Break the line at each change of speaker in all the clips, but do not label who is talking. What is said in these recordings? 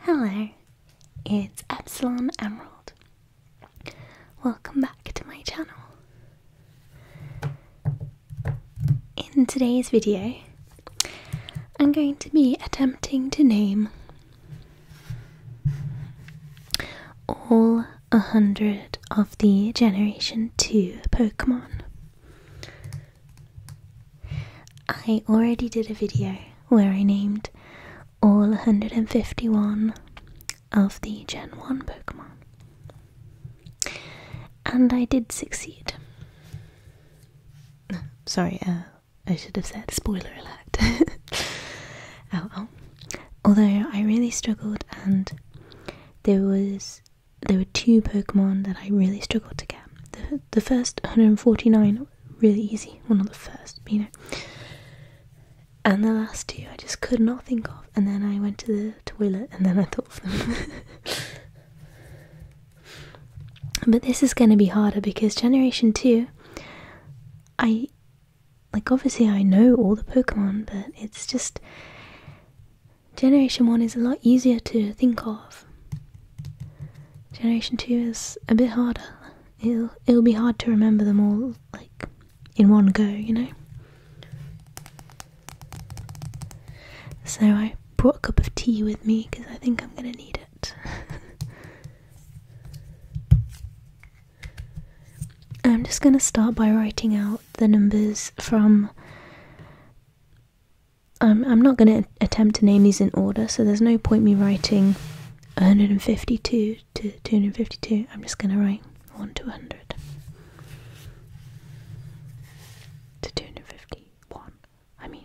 Hello, it's Epsilon Emerald. Welcome back to my channel. In today's video, I'm going to be attempting to name all a hundred of the Generation 2 Pokemon. I already did a video where I named all 151 of the Gen 1 Pokemon. And I did succeed. Sorry, uh, I should have said spoiler alert. Oh, Although I really struggled and there was there were two Pokemon that I really struggled to get. The, the first 149 really easy. one of the first, you know. And the last two I just could not think of. And then I went to the toilet and then I thought of them. but this is going to be harder because Generation 2, I. Like, obviously, I know all the Pokemon, but it's just. Generation 1 is a lot easier to think of. Generation 2 is a bit harder. It'll, it'll be hard to remember them all, like, in one go, you know? So I brought a cup of tea with me because I think I'm going to need it. I'm just going to start by writing out the numbers from I'm, um, I'm not going to attempt to name these in order, so there's no point me writing 152 to 252. I'm just going to write 1 to 100 to 251. I mean,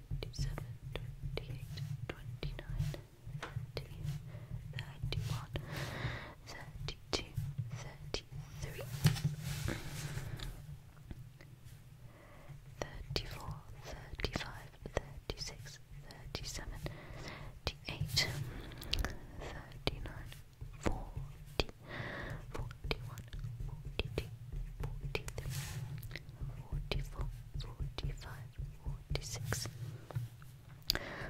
27, 28, 29, 30, 31, 32, 33, 34, 35, 36, 37, 38, 39, 40, 41, 42, 43, 44, 45, 46,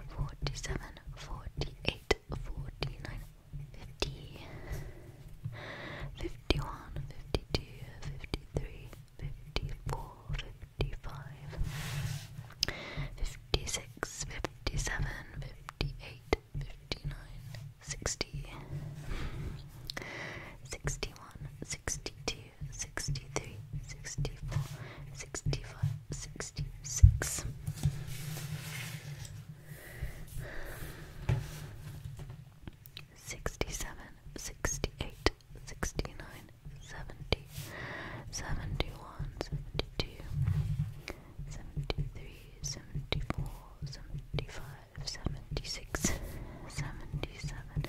47, 48, 49, 50, 51, 52, 53, 54, 55, 56, 57, 58, 59, 60, 61, 62, 63, 64, 65, 66. Sixty-seven, sixty-eight, sixty-nine, seventy, seventy-one, seventy-two, seventy-three, seventy-four, seventy-five, seventy-six, seventy-seven,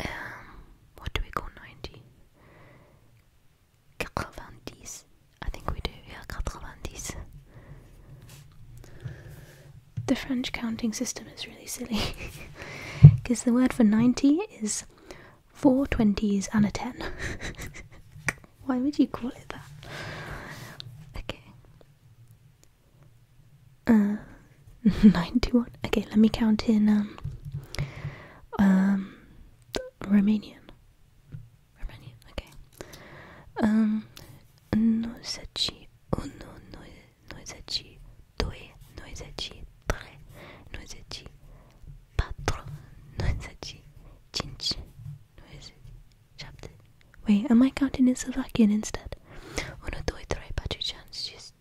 Um, what do we go ninety? I think we do. Yeah, quatre
The French counting system is really silly because the word for 90 is four twenties and a 10. Why would you call it that? Okay. Uh, 91. Okay, let me count in um, um, Romanian. Romanian, okay.
Um, 91, 92, 93, 94, 95,
Wait, am I counting in Slovakian instead?
Uno, doi, troi, patričan, šest.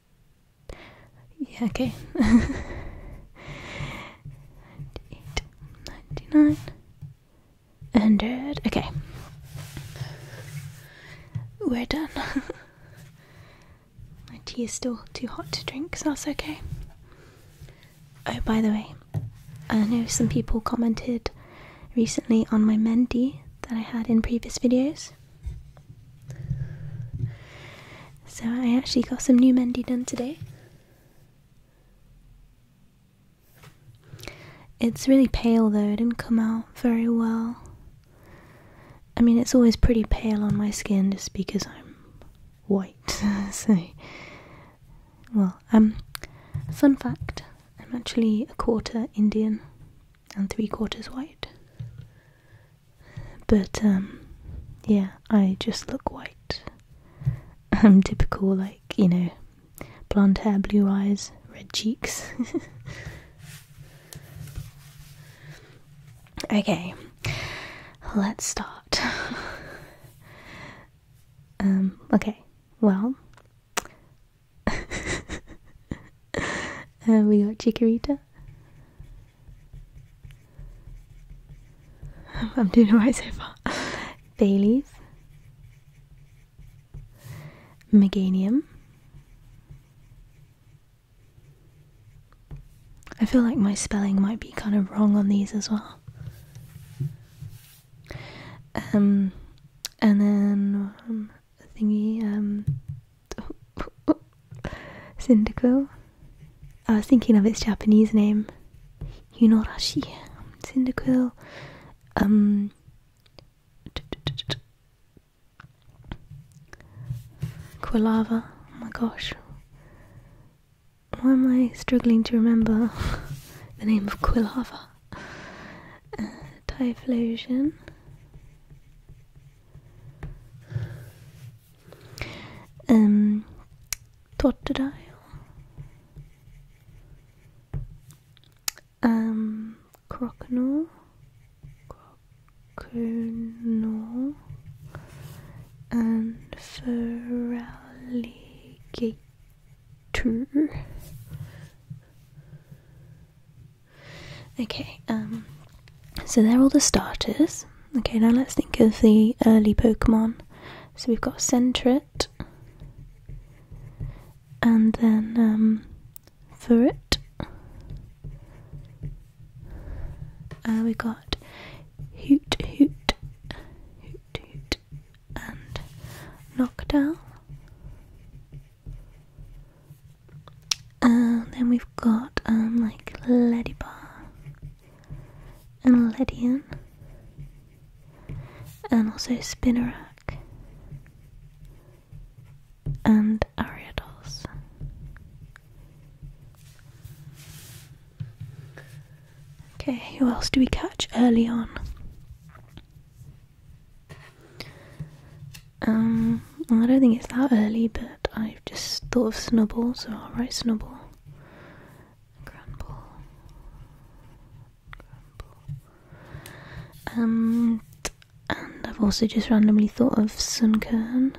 Yeah, okay. 98, 99, 100. Okay. We're done. My tea is still too hot to drink, so that's okay. Oh, by the way, I know some people commented recently on my mendi that I had in previous videos. So I actually got some new mendi done today. It's really pale though, it didn't come out very well. I mean, it's always pretty pale on my skin just because I'm white, so well, um, fun fact I'm actually a quarter Indian and three quarters white. But, um, yeah, I just look white. I'm typical, like, you know, blonde hair, blue eyes, red cheeks. okay, let's start. Um, okay, well, uh, we got Chikorita. I'm doing alright so far. Bailey's, Meganium. I feel like my spelling might be kind of wrong on these as well. Um, and then um, thingy, um, Syndico. I was thinking of its Japanese name, Yunorashi. Cyndaquil. Um. Quilava. Oh my gosh why am I struggling to remember the name of Quilava? Uh, Typhlosion. Um, Totodile. Um, and Feraligatr. Tur. Okay, um, so they're all the starters. Okay, now let's think of the early Pokemon. So we've got Sentret, and then um, Furit. Ferret. Uh, we got Hoot Hoot, and Knockdown. And then we've got um like Ladybar and Ledian and also Spinnerack and Ariados. Okay, who else do we catch early on? Um, I don't think it's that early, but I've just thought of Snubble, so I'll write Snubble. Grumble. Grumble. and I've also just randomly thought of Sunkern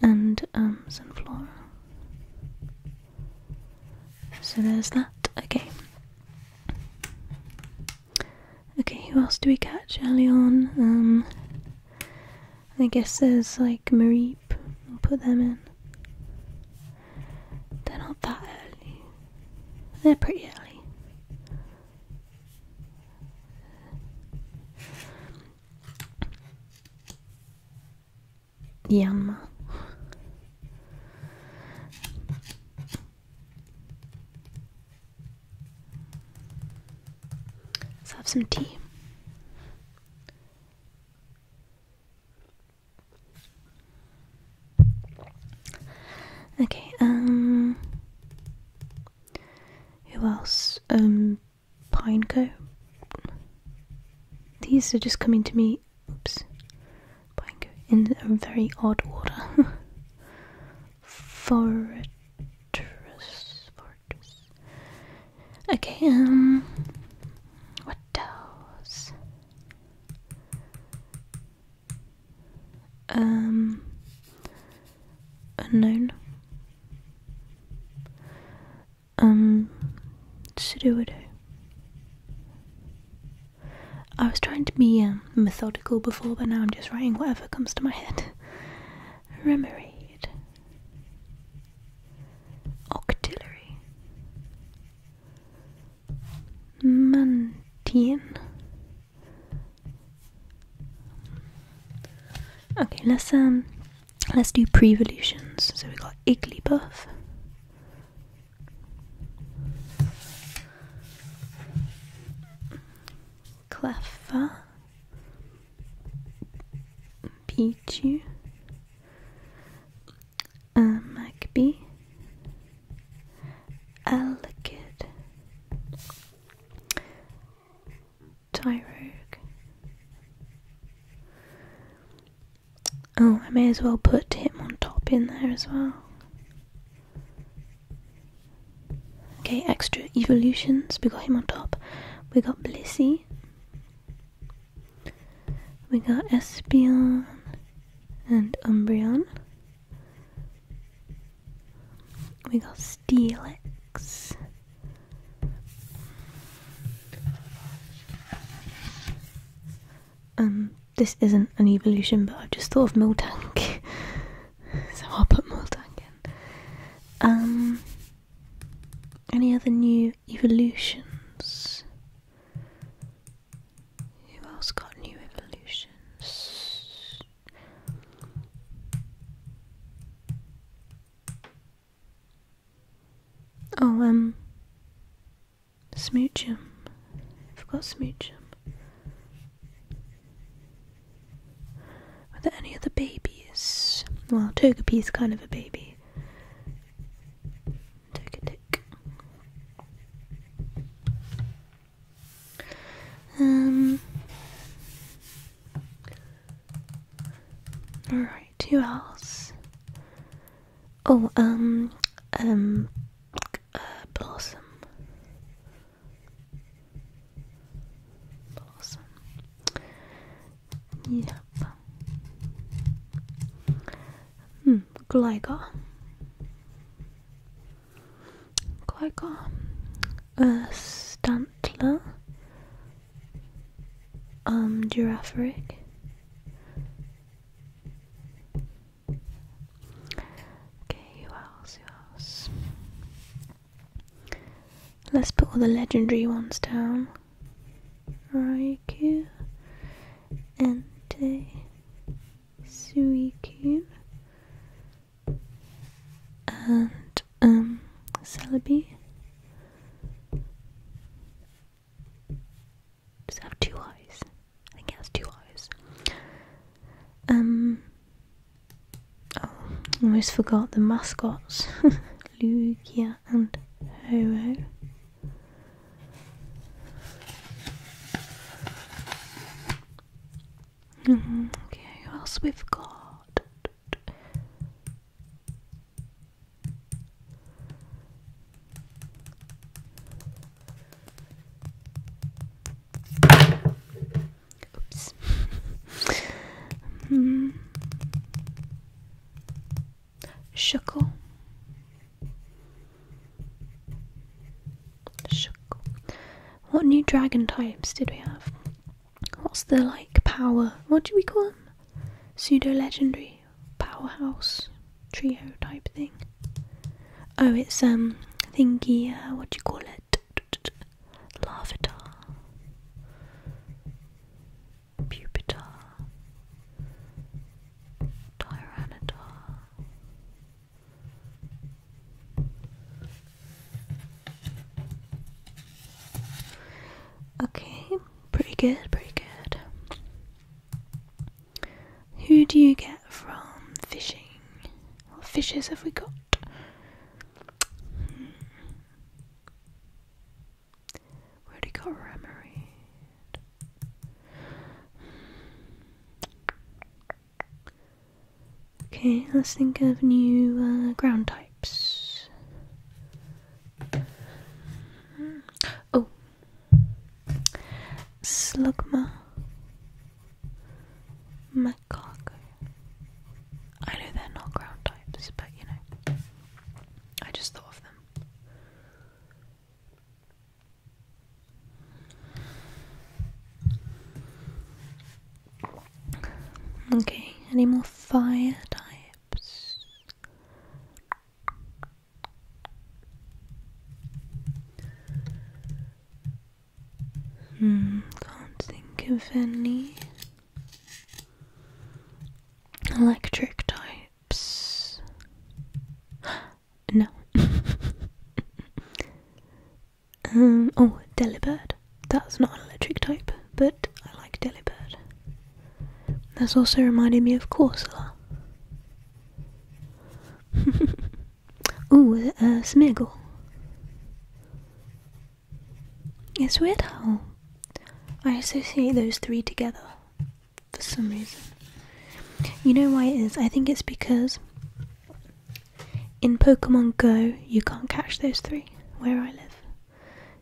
and um, Sunflora. So there's that. Okay. Okay, who else do we catch early on? Um, I guess there's like Mareep. We'll put them in. They're not that early. They're pretty early. Yanma.
Let's have some tea. Okay, um ehm,
who else? Um Pineco. These are just coming to me. Oops. Pineco in a very odd order. Fortress.
Fortress. Okay, um. What else? Um. Unknown
um to do with I was trying to be um, methodical before, but now I'm just writing whatever comes to my head. Remoraid. Octillery. Mantian. Okay, listen. Let's do pre-evolutions. So we've got Igglybuff. Cleffa. Pichu. Uh, Magby. Alakid. Tyrogue. Oh, I may as well put him on top in there as well. Okay, extra evolutions. We got him on top. We got Blissey. We got Espeon and Umbreon. We got Steelix. Um, this isn't an evolution, but I've just thought of Miltank. so I'll put Miltank in. Um, any other new evolutions?
Who else got new evolutions?
Oh, um, smooch him. I forgot smooch him. Are there any other babies? Well, is kind of a baby. Togedick. Um, Alright, who else? Oh, um, um, uh, Blossom.
Blossom. Yep.
Hmm, Gligar. Gligar. Uh, Stantler. Um, giraffe rig. Okay, who else? Who Let's put all the legendary ones down. Raikou, Entei, Suicune, and um, Celebi.
Does have two eyes? I think it has two eyes.
Um. Oh, almost forgot the mascots Lugia and Horo.
Mm mm-hmm, Okay, who else we've got? Oops. mm. Shuckle.
Shuckle. What new dragon types did we have? What's the like power? What do we call them? Pseudo legendary powerhouse trio type thing. Oh, it's um thingy. Uh, what do you call it? Lavatar, Pupitar, Tyranitar.
Okay, Pretty
good, pretty good. Who do you get from fishing? What fishes have we got? Hmm. We got Remoraid. Okay, let's think of new uh, ground types. Hmm. Oh, Slugma Macaco. I know they're not ground types, but you know, I just thought of them. Okay, any more fire
types? Hmm,
can't think of any electric types. no. um, oh, Delibird. That's not an electric type, but I like Delibird. That's also reminded me of Corsola. Ooh, uh, Smeagol. It's weird how I associate those three together for some reason. You know why it is? I think it's because in Pokemon Go you can't catch those three where I live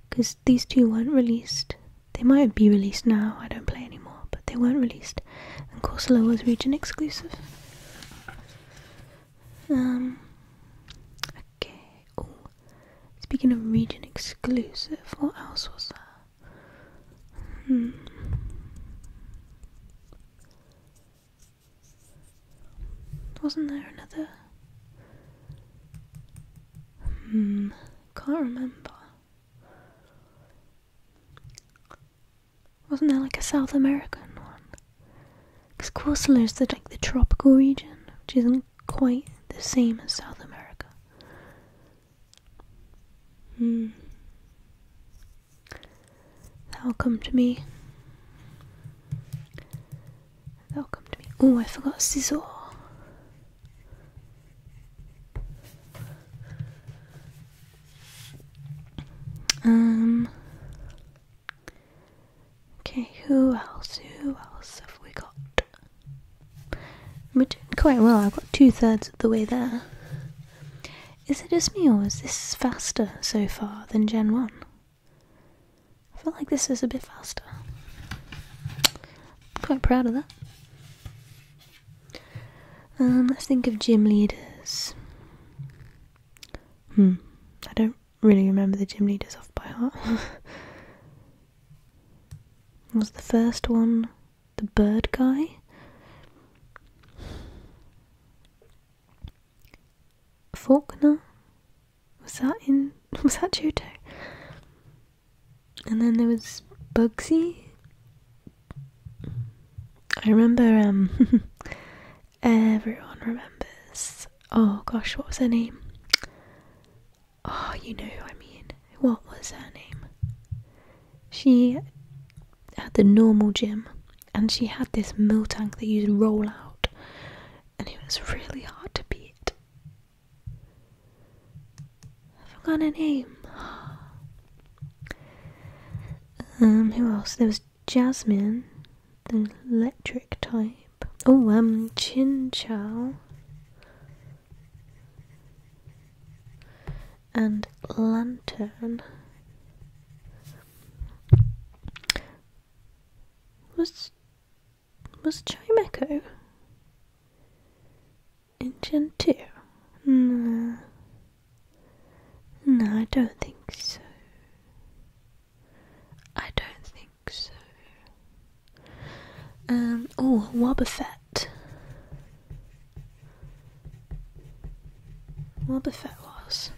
because these two weren't released they might be released now, I don't play anymore, but they weren't released. And Corsola was region exclusive. Um, okay. Oh, speaking of region exclusive, what else was there? Hmm. Wasn't there another? Hmm, can't remember. Wasn't there like a South American one? Because is the, like the tropical region, which isn't quite the same as South America. Hmm. That'll come to me.
That'll come to me. Oh, I forgot Scizor. Um. Okay,
who else? Who else have we got? We're doing quite well. I've got two thirds of the way there. Is it just me, or is this faster so far than Gen 1? I feel like this is a bit faster. I'm quite proud of that. Um, let's think of gym leaders. Hmm, I don't really remember the gym leaders off by heart. was the first one the bird guy? Faulkner? Was that in was that Judo? And then there was Bugsy. I remember um, everyone remembers oh gosh, what was her name? Oh, you know who I mean. What was her name? She had the normal gym and she had this mill tank that you'd roll out and it was
really hard to beat.
I forgot a name. Um, who else? There was Jasmine, the electric type. Oh, um, Chin Chow. And Lantern. Was was Chimeco in Gen 2? No. No, I don't think so. I don't think so. Um, oh, Wobbuffet. Wobbuffet was.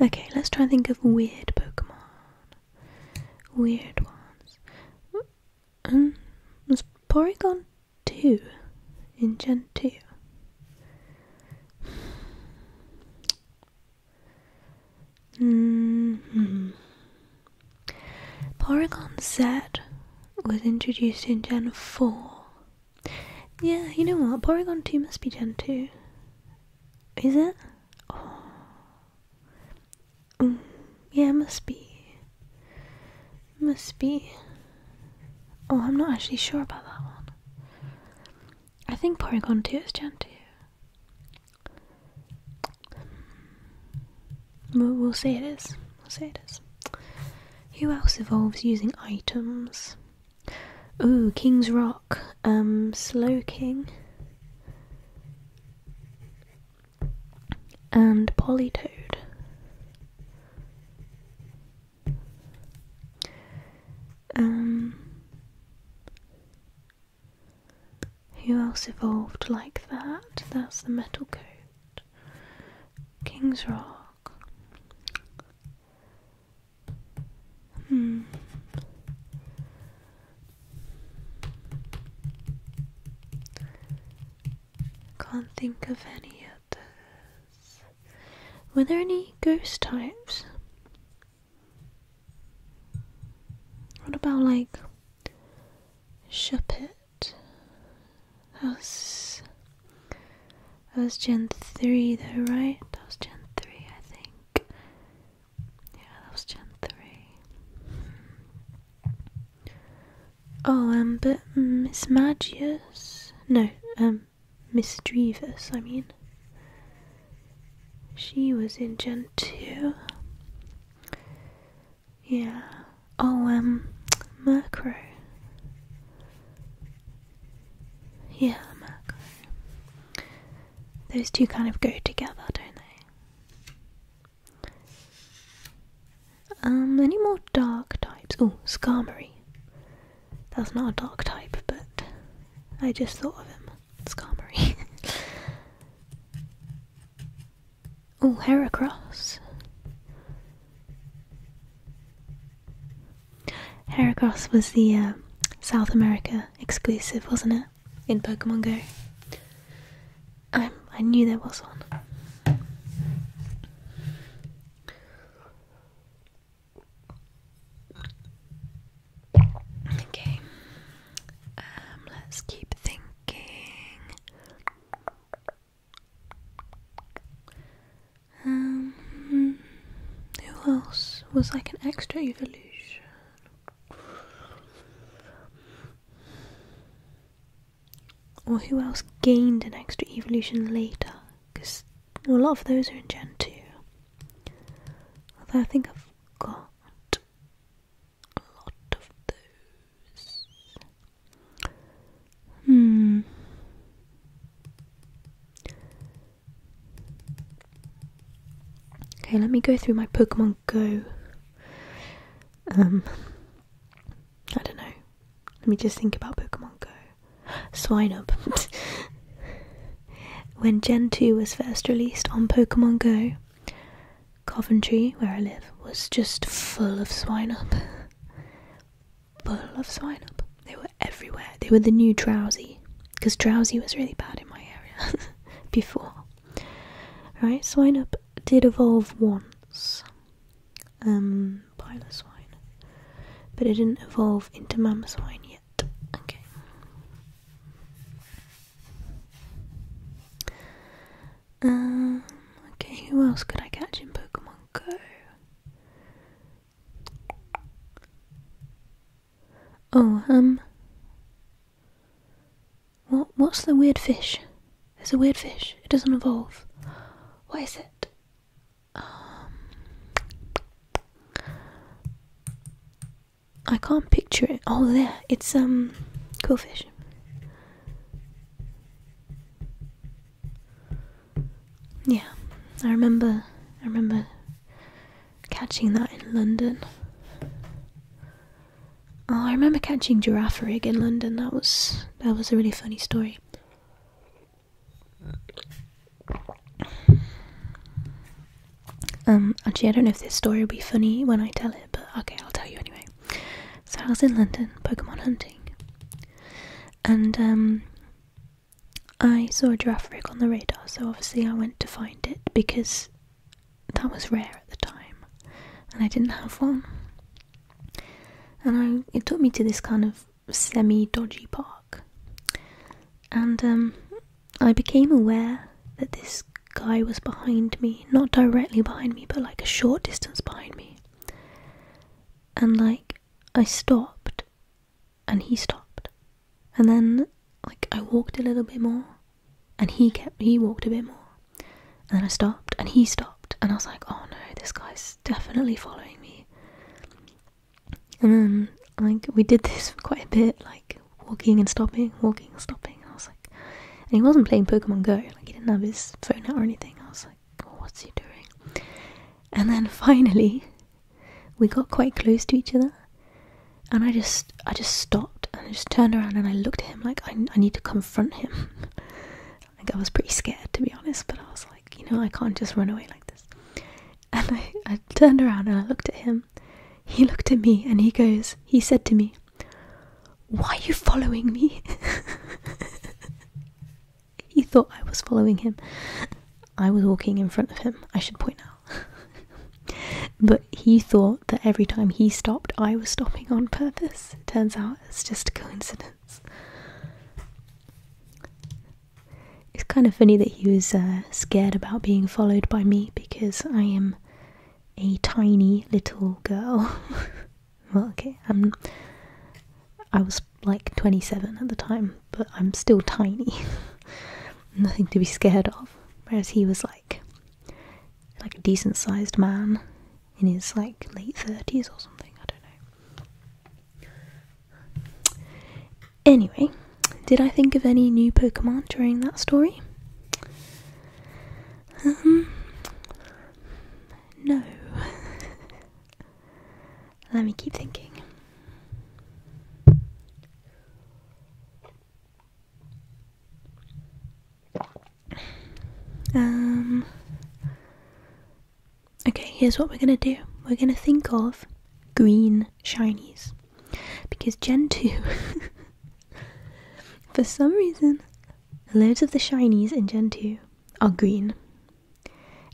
Okay, let's try and think of weird Pokemon. Weird ones. Um, was Porygon 2 in Gen 2? Mm hmm Porygon Z was introduced in Gen 4 yeah, you know what? Porygon 2 must be Gen 2. Is it? Oh. Mm, yeah, it must be. must be. Oh, I'm not actually sure about that one. I think Porygon 2 is Gen 2. We'll, see. it is. Who else evolves using items? Ooh, King's Rock. Um, Slow King. And Polytoad. Um, who else evolved like that? That's the metal coat. King's Rock. Hmm. Can't think of any others. Were there any ghost types? What about like Shuppet? That was that was Gen three though, right? That was Gen three, I think. Yeah, that was Gen three. Oh, um, but Miss Magius, no, um, Miss Drevis, I mean. She was in Gen two. Yeah. Oh, Murkrow. Um, yeah, Those two kind of go together, don't they? Um, any more dark types? Oh, Skarmory. That's not a dark type, but I just thought of him. Skarmory. oh, Heracross. Heracross was the uh, South America exclusive, wasn't it? In Pokemon Go. Um, I, knew there was one.
Okay, um, let's keep thinking. Um, hmm. who else
was like an extra evolution? Or who else gained an extra evolution later? Because a lot of those are in Gen 2. Although I think I've got a lot of
those. Hmm.
Okay, let me go through my Pokemon Go. Um, I don't know. Let me just think about Pokemon Go. Swine up. when Gen 2 was first released on Pokemon Go, Coventry, where I live, was just full of swine up full love swine up. They were everywhere. They were the new drowsy, because drowsy was really bad in my area before. Right, swine up did evolve once, um, pile of swine, but it didn't evolve into mammoth swine yet. Okay. Um. Okay. Who else could I catch in Pokemon Go? Oh, um. What, what's the weird fish? There's a weird fish. It doesn't
evolve. Why is it? Um.
I can't picture it. Oh, there. It's, um. Cool fish. Yeah, I remember. I remember catching that in London. Oh, I remember catching giraffe rig in London. That was that was a really funny story. Um, actually, I don't know if this story will be funny when I tell it, but okay, I'll tell you anyway. So I was in London Pokemon hunting, and um, I saw a giraffe rig on the radar, so obviously I went to find it because that was rare at the time, and I didn't have one. And I, it took me to this kind of semi-dodgy park, and um, I became aware that this guy was behind me, not directly behind me, but like a short distance behind me. And like I stopped and he stopped. And then, like, I walked a little bit more and he kept, he walked a bit more. And then I stopped and he stopped. And I was like, oh no, this guy's definitely following me. And then, like, we did this quite a bit, like, walking and stopping, walking and stopping. And I was like, and he wasn't playing Pokemon Go, like, he didn't have his phone out or anything.
I was Oh, what's he doing?
And then finally, we got quite close to each other, and I just, I just stopped and I just turned around and I looked at him like I, I need to confront him. like I was pretty scared to be honest,
but I was like,
you know, I can't just run away like this. And I turned around and I looked at him. He looked at me and he goes, he said to me, Why are you following me? He thought I was following him. I was walking in front of him, I should point out. but he thought that every time he stopped, I was stopping on purpose. Turns out it's just a coincidence. It's kind of funny that he was uh, scared about being followed by me because I am a tiny little girl. Well, okay, um, I was like 27 at the time, but I'm still tiny. Nothing to be scared of. Whereas he was like, like a decent sized man in his like late 30s or something, I don't know. Anyway, did I think of any new Pokemon during that story? Um, no. Let me keep thinking. Um Okay, here's what we're going to do. We're going to think of green shinies because Gen 2 for some reason loads of the shinies in Gen 2 are green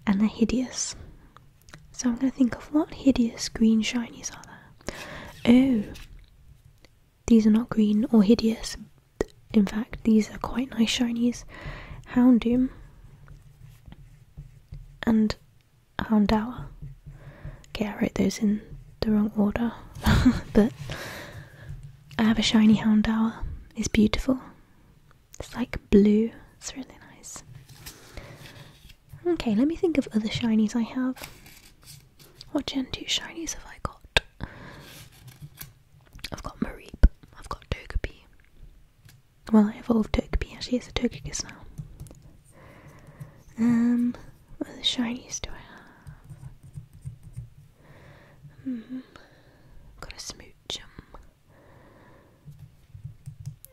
and they're hideous. So I'm going to think of what hideous green shinies are there. Oh, these are not green or hideous. In fact, these are quite nice shinies. Houndoom and Houndour. Okay, I wrote those in the wrong order, but I have a shiny Houndour. It's beautiful. It's like blue. It's really nice. Okay, let me think of other shinies I have. What Gen 2 shinies have I got? I've got Mareep. I've got Togepi. Well, I evolved Togepi. Actually, it's a Togekiss now. Um, what other shinies do I have? Mm hmm. Got a Smoochum.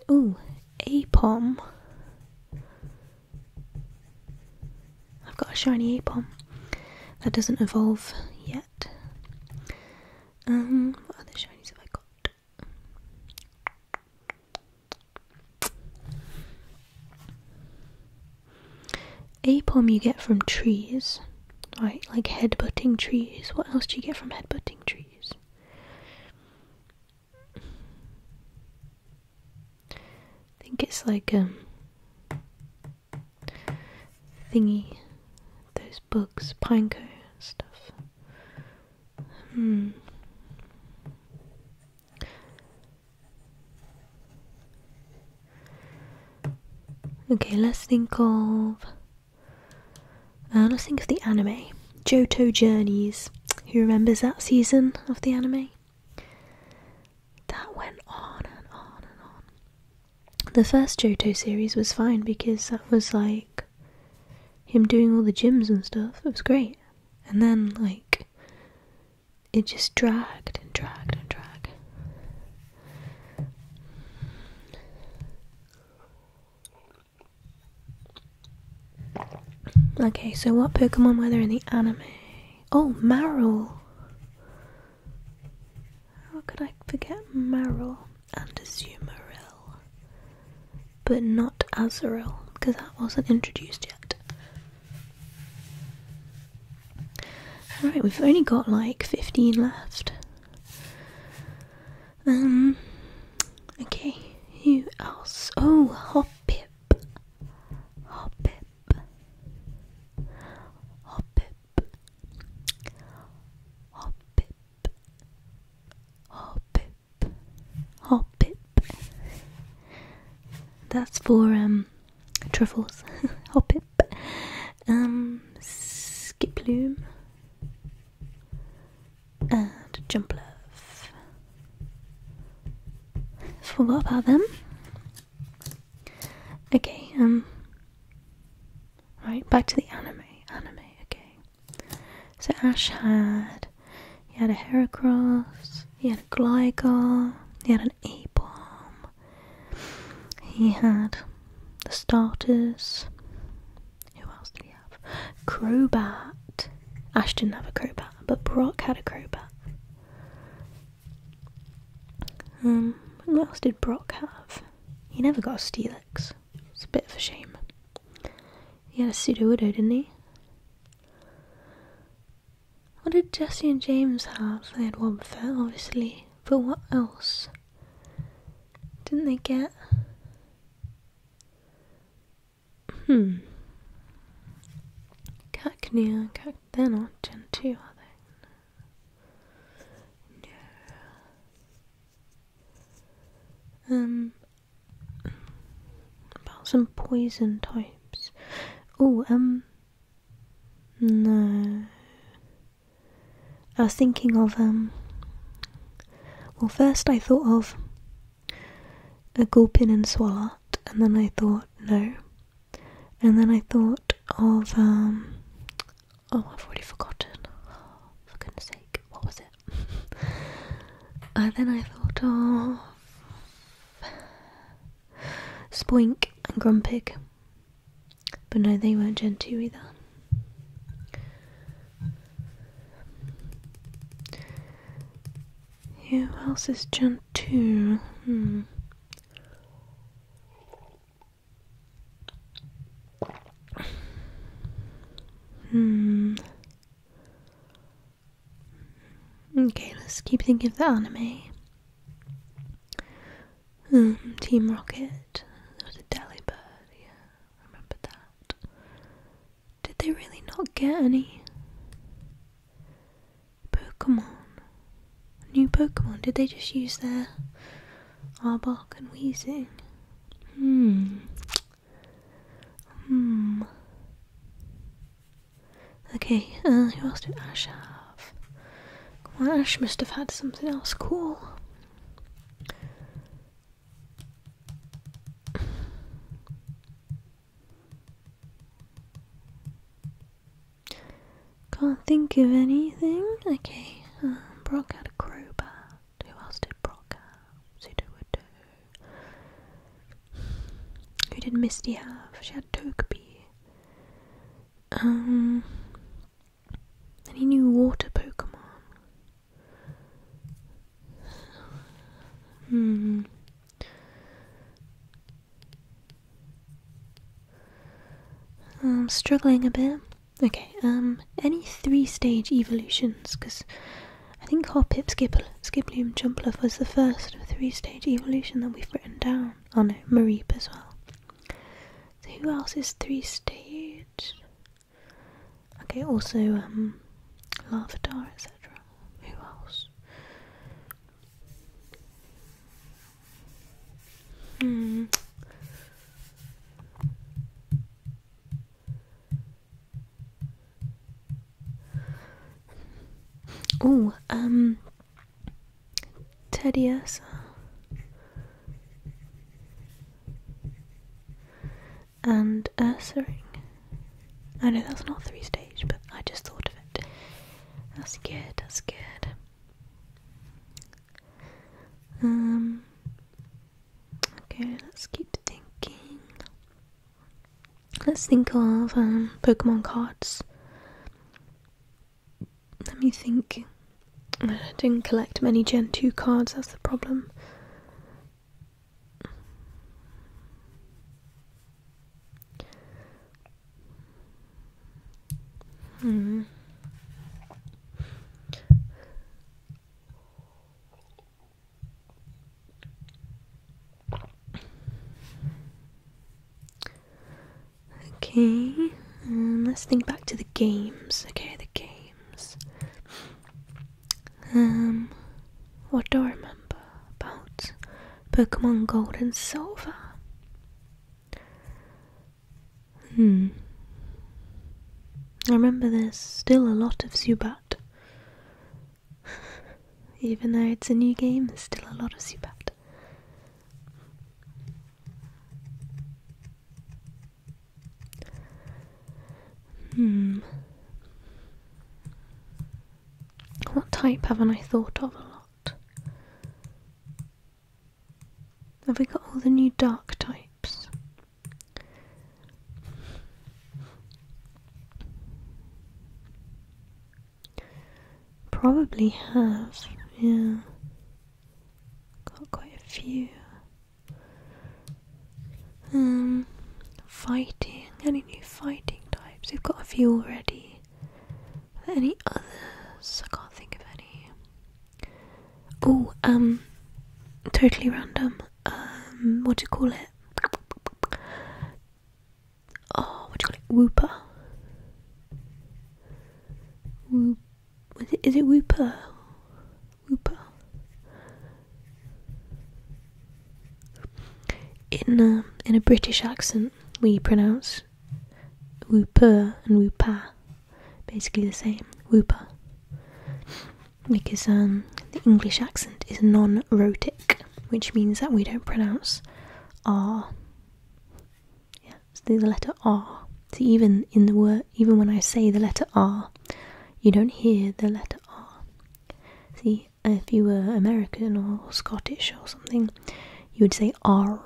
Ooh, pom! I've got a shiny a pom That doesn't evolve yet. Um, what other shinies have I got? A pom you get from trees. Right, like headbutting trees. What else do you get from headbutting trees? I think it's like um thingy, those bugs, pineco stuff. Hmm. Okay, let's think of uh, let's think of the anime. Joto Journeys. Who remembers that season of the anime? That went on and on and on. The first Joto series was fine because that was like him doing all the gyms and stuff. It was great. And then, like, it just dragged and dragged and dragged. Okay, so what Pokemon were there in the anime? Oh, Marul! How could I forget Marul and Azumarill? But not Azuril, because that wasn't introduced yet. Alright, we've only got like 15 left. Um, okay, who else? Oh, Hoppip. Hoppip. Hoppip. Hoppip. Hoppip. Hoppip. That's for, um, truffles. Hoppip um, Skiploom, and Jumplove. Forgot about them. Okay, um, right, back to the anime. Anime, okay. So Ash had, he had a Heracross, he had a Gligar, he had an A-Bomb, he had the starters, who else did he have? Crowbat. Ash didn't have a crowbat, but Brock had a crowbat. Um, what else did Brock have? He never got a Steelix. It's a bit of a shame. He had a pseudo widow, didn't he? What did Jessie and James have? They had one Wobbuffet, obviously. But what else? Didn't they get? Hmm. Cacnea, cac they're not Gen are they? No. Um about some poison types. Oh, um no. I was thinking of, um, well, first I thought of a gulpin and swallot, and then I thought, no. And then I thought of,
um, oh, I've already forgotten. for goodness sake, what was it? and then I thought of
Spoink and Grumpig. But no, they weren't Gen either. Who else is Gen 2? Hmm.
Hmm.
Okay, let's keep thinking of the anime. Um, Team Rocket. That was a Delibird, yeah. Remember that. Did they really not get any Pokemon? New Pokemon? Did they just use their Arbok and Weezing?
Hmm. Hmm. Okay, uh, who else did Ash have? Come Ash must have had something else cool.
Can't think of anything. Okay, um, Brock had a crowbar. Who else did Brock have? Sudowoodoo. Who did Misty have? She had Togepi. Um, any new water Pokemon? Hmm. I'm struggling a bit. Okay, um, any three stage evolutions? Because I think Hopip, Skipple, Skiploom, Jumpluff was the first three stage evolution that we've written down. Oh no, Mareep as well. So who else is three stage? Okay, also um Larvitar, etc. Who else? Hmm. Oh, um Teddy and Ursaring. I know that's not three stage, but I just thought of it.
That's good, that's
good. Um okay, let's keep thinking. Let's think of um, Pokemon cards. Let me think I didn't collect many Gen 2 cards, that's the problem.
Hmm. Okay, um,
let's think back to the games. Okay, the game. Um, what do I remember about Pokemon Gold and Silver? Hmm. I remember there's still a lot of Zubat. Even though it's a new game, there's still a lot of Zubat. Hmm. What type haven't I thought of a lot? Have we got all the new dark types? Probably have, yeah. Got quite a few. Um, fighting. Any new fighting types? We've got a few already. any others? I can't think of any. Oh, um, totally random. Um, what do you call it? Oh, what do you call it? Whooper. Whoop. Is it, is it Wooper? Wooper. In a, um, in a British accent, we pronounce Wooper and Woopa basically the same. Wooper. Because um, the English accent is non rotic, which means that we don't pronounce R. Yeah, the letter R. So even in the word even when I say the letter R, you don't hear the letter R. See, if you were American or Scottish or something, you would say R,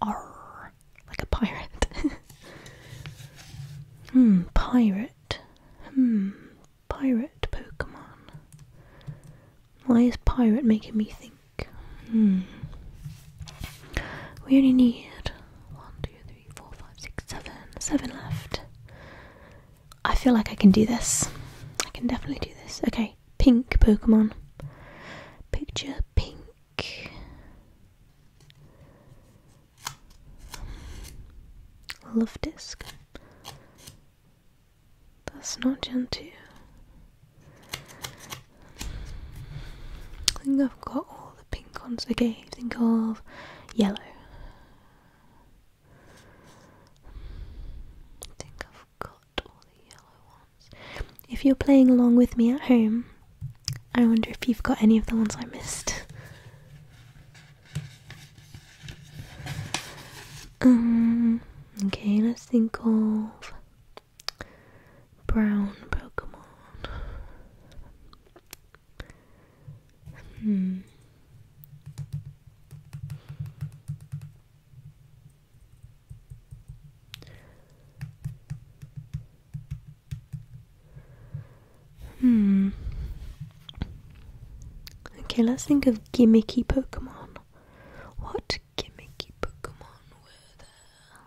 R, like a pirate. hmm, pirate. Hmm, pirate Pokemon. Why is pirate making me think? Hmm. We only need one, three, four, five, six, seven. Seven left. I feel like I can do this. I can definitely do this. Okay, pink Pokemon. Picture pink. Love disc. That's not Gen I think I've got all the pink ones. Okay, think of yellow. I think I've got all the yellow ones. If you're playing along with me at home, I wonder if you've got any of the ones I missed. Um, okay, let's think of brown Pokemon.
Hmm. Hmm.
Okay, let's think of gimmicky Pokemon. What gimmicky Pokemon were there?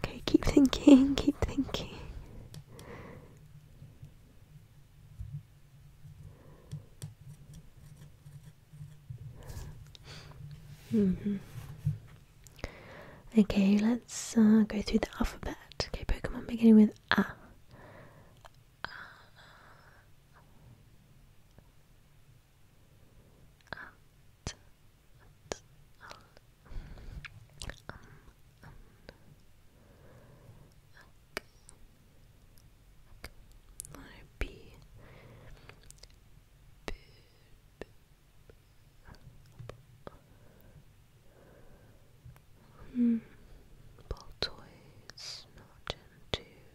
Okay, keep thinking, keep
thinking. -hmm.
Okay, let's uh, go through the alphabet. Okay, Pokemon beginning with A at, at, al, um, um,
okay, okay, letter B, B, B, B. Hmm, Baltoids, not into Okay, cool.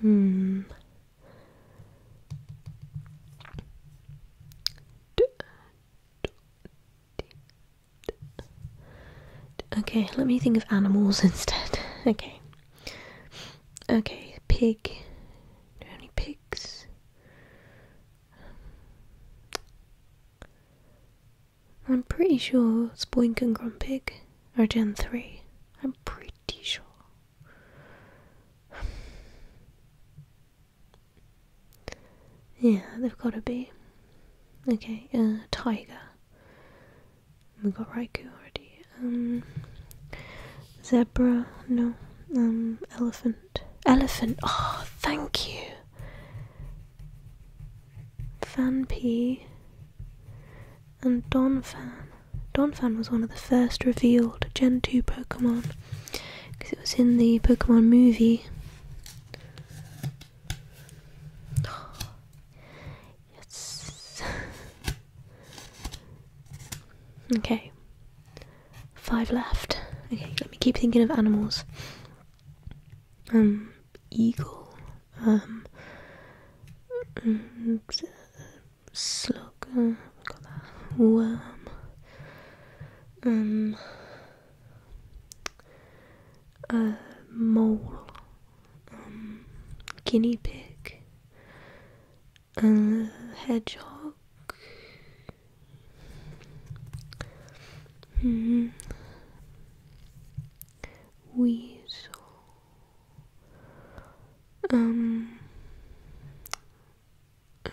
Hmm.
Okay, let me think of animals instead. Okay. Okay, pig. Only pigs. I'm pretty sure Spoink and Grumpig are Gen 3. I'm pretty sure. Yeah, they've got to be. Okay, uh, tiger. We got Raikou already. Um, zebra. No. Um, elephant. Elephant. Oh, thank you. Fan P. And Donphan. Donphan was one of the first revealed Gen 2 Pokemon because it was in the Pokemon movie. yes. okay. Five left. Okay, let me keep thinking of animals.
Um, eagle. Um, mm, uh, slug. Uh, got Worm um, a
mole, um, guinea pig, a hedgehog.
Mm. Weasel. Um, um,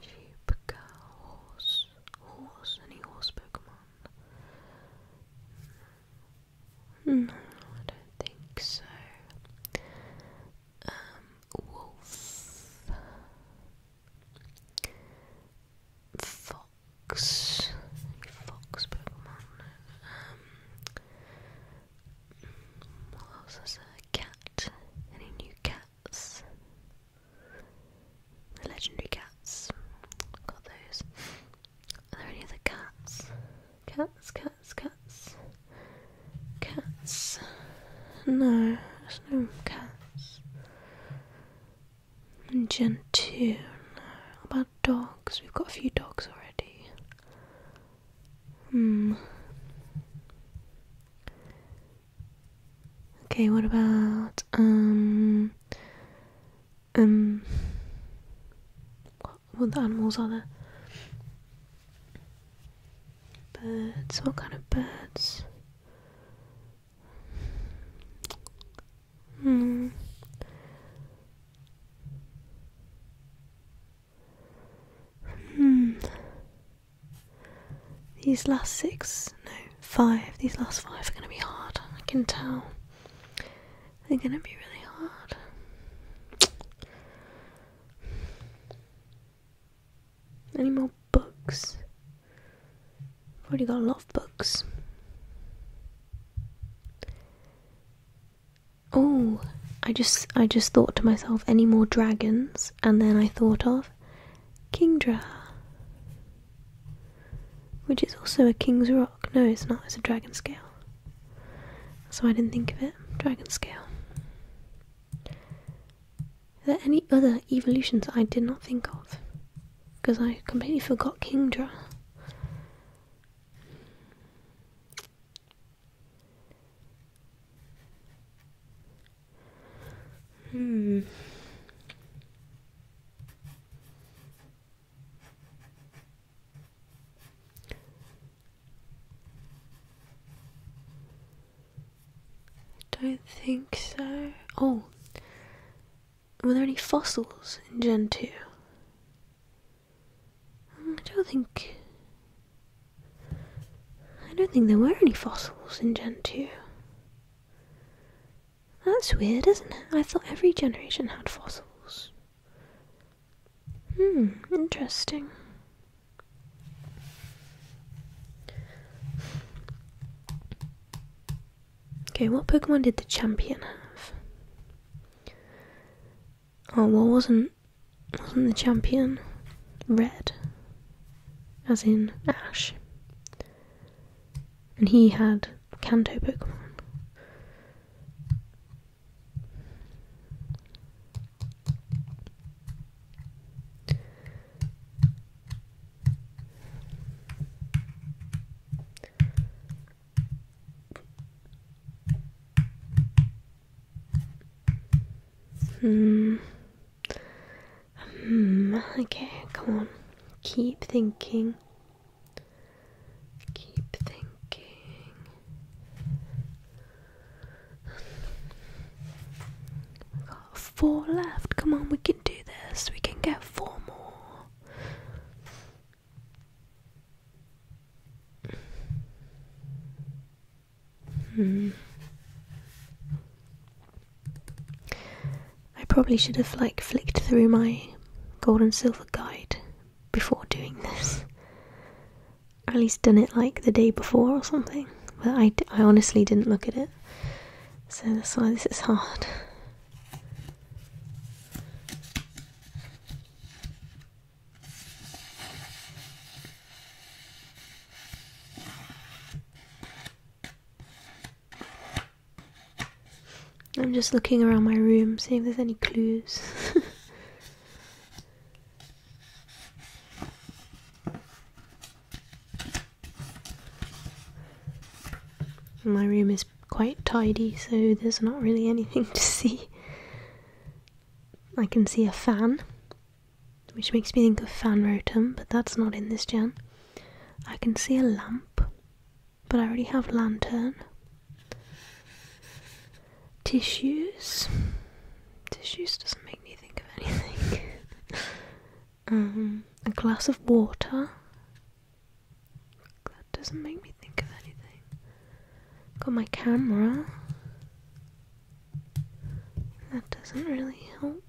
sheep, cow, horse, horse, any horse Pokemon? No, I don't think so. Um, wolf, Fox, Fox Pokemon. Um, cat? Any new cats? legendary cats. Got those. Are there any other cats? Cats, cats, cats,
cats. No, there's no cats. Gentoo. How about dogs? We've got a few dogs already. Hmm. Okay, what about, um, um, what, what animals are there? Birds, what kind of birds?
Hmm. Hmm.
These last six, no, five, these last five are going to be hard. I can tell. They're going to be really hard. Any more books? I've already got a lot of books. Oh, I just I just thought to myself, any more dragons? And then I thought of Kingdra, which is also a king's rock. No, it's not. It's a dragon scale. So I didn't think of it. Dragon scale. Are there any other evolutions I did not think of? Because I completely forgot Kingdra. Hmm. Don't think so. Oh, were there any fossils in Gen 2? Hmm, I don't think. I don't think there were any fossils in Gen 2. That's weird, isn't it? I thought every generation had fossils.
Hmm, interesting.
Okay, what Pokemon did the champion have? Oh what wasn't wasn't the champion red? As in Ash. And he had Kanto Pokemon. Hmm. Hmm. Okay, come on. Keep thinking. Keep thinking
four left. Come on, we can do this. We can get four more. Hmm.
I probably should have like flicked through my gold and silver guide before doing this. Or at least done it like the day before or something. But I, I honestly didn't look at it. So that's why this is hard. I'm just looking around my room, seeing if there's any clues. My room is quite tidy, so there's not really anything to see. I can see a fan, which makes me think of fan rotum, but that's not in this gen. I can see a lamp, but I already have lantern. Tissues.
Tissues doesn't make me think of anything.
um, a glass of water. That
doesn't make me think of anything.
Got my camera. That doesn't really help.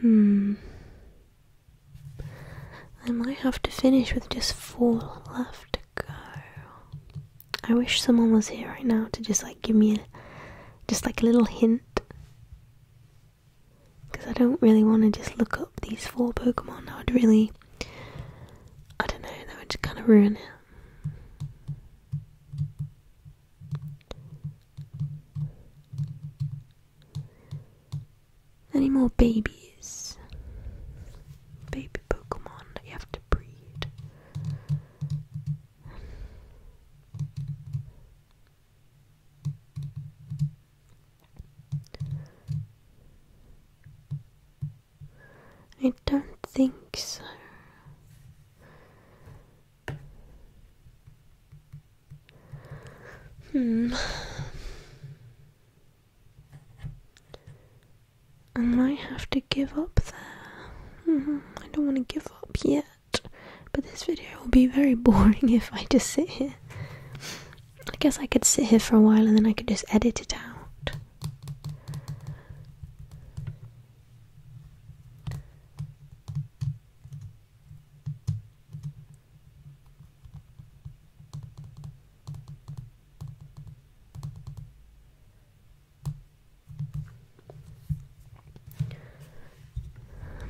Hmm. I might have to finish with just four left to go. I wish someone was here right now to just like give me a, just like a little hint. Because I don't really want to just look up these four Pokemon. I would really, I don't know, that would just kind of ruin it.
Any more babies? Baby Pokemon you have to breed.
I don't think so. Hmm. I might have to give up there. Mm-hmm. I don't want to give up yet, but this video will be very boring if I just sit here. I guess I could sit here for a while and then I could just edit it out.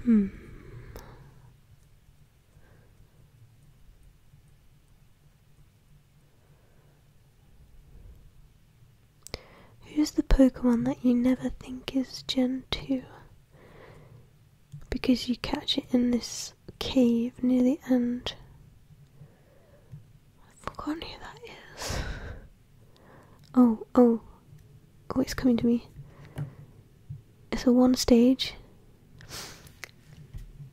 Hmm. Who's the Pokemon that you never think is Gen 2? because you catch it in this cave near the end. I've who that is. Oh, oh, oh, it's coming to me. It's a one stage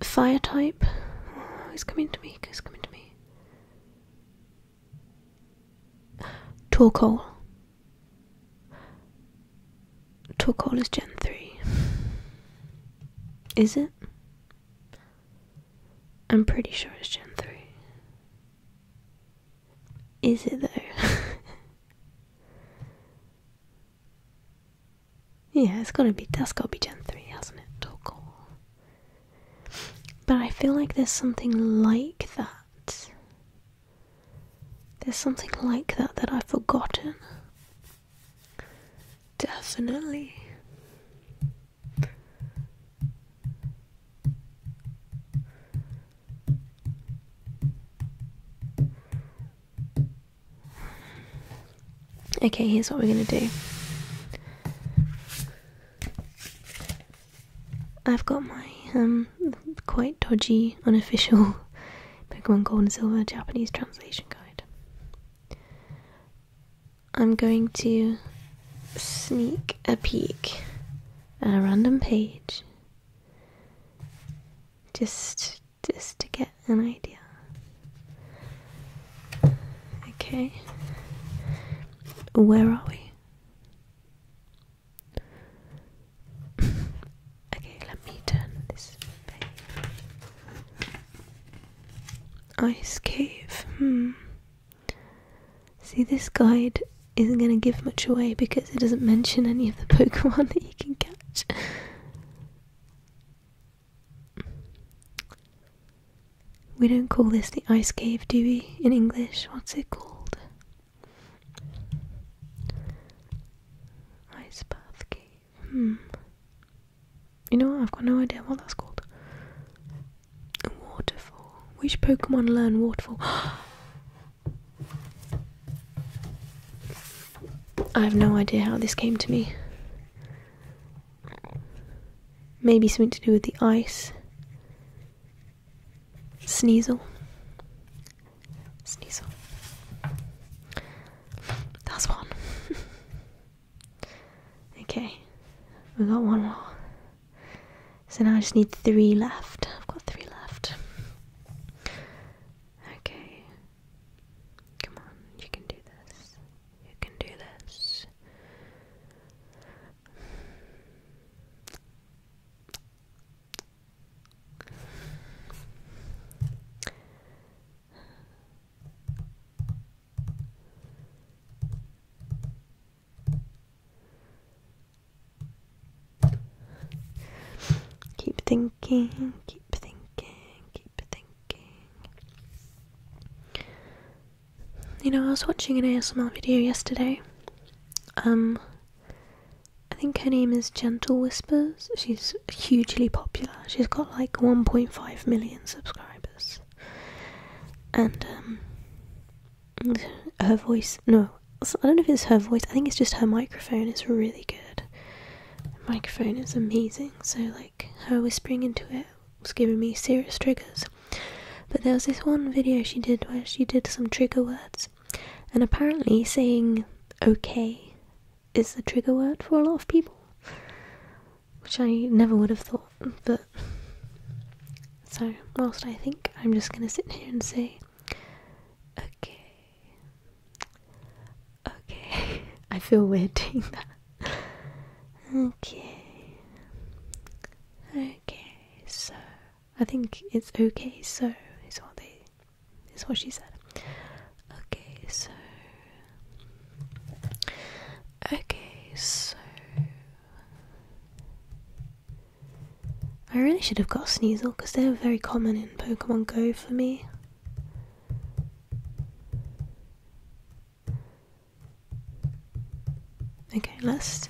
fire type. Oh, it's coming to me, it's coming to me. Torkoal. Torkoal is Gen 3. Is it? I'm pretty sure it's Gen 3. Is it though? yeah, it's gotta be that's gotta be Gen 3, hasn't it? Torkoal. But I feel like there's something like that there's something like that that I've forgotten. Definitely. Okay, here's what we're going to do. I've got my um quite dodgy unofficial Pokemon Gold and Silver Japanese Translation Guide. I'm going to sneak a peek at a random page just just to get an idea. Okay. Where are we? okay, let me turn this page. Ice cave. Hmm. See, this guide isn't going to give much away because it doesn't mention any of the Pokemon that you can catch. We don't call this the ice cave, do we? In English, what's it called?
Ice bath cave.
Hmm. You know, I've got no idea what that's called. Waterfall. Which Pokemon learn waterfall? I have no idea how this came to me. Maybe something to do with the ice. Sneasel.
Sneasel. That's one.
okay, we got one more. So now I just need three
left. I've got three left. Okay. Come on, you can do this. You can do this.
Keep thinking, keep thinking, keep thinking. You know, I was watching an ASMR video yesterday. Um, I think her name is Gentle Whispers. She's hugely popular. She's got like 1.5 million subscribers. And um, her voice, no, I don't know if it's her voice. I think it's just her microphone is really good. microphone is amazing. So like her whispering into it was giving me serious triggers. But there was this one video she did where she did some trigger words, and apparently saying okay is the trigger word for a lot of people, which I never would have thought. But so, whilst I think, I'm just gonna sit here and say, okay, okay. I feel weird doing that.
okay, okay. So
I think it's okay. So is what they is what she said. Okay, so. Okay, so. I really should have got Sneasel because they're very common in Pokemon Go for me. Okay, let's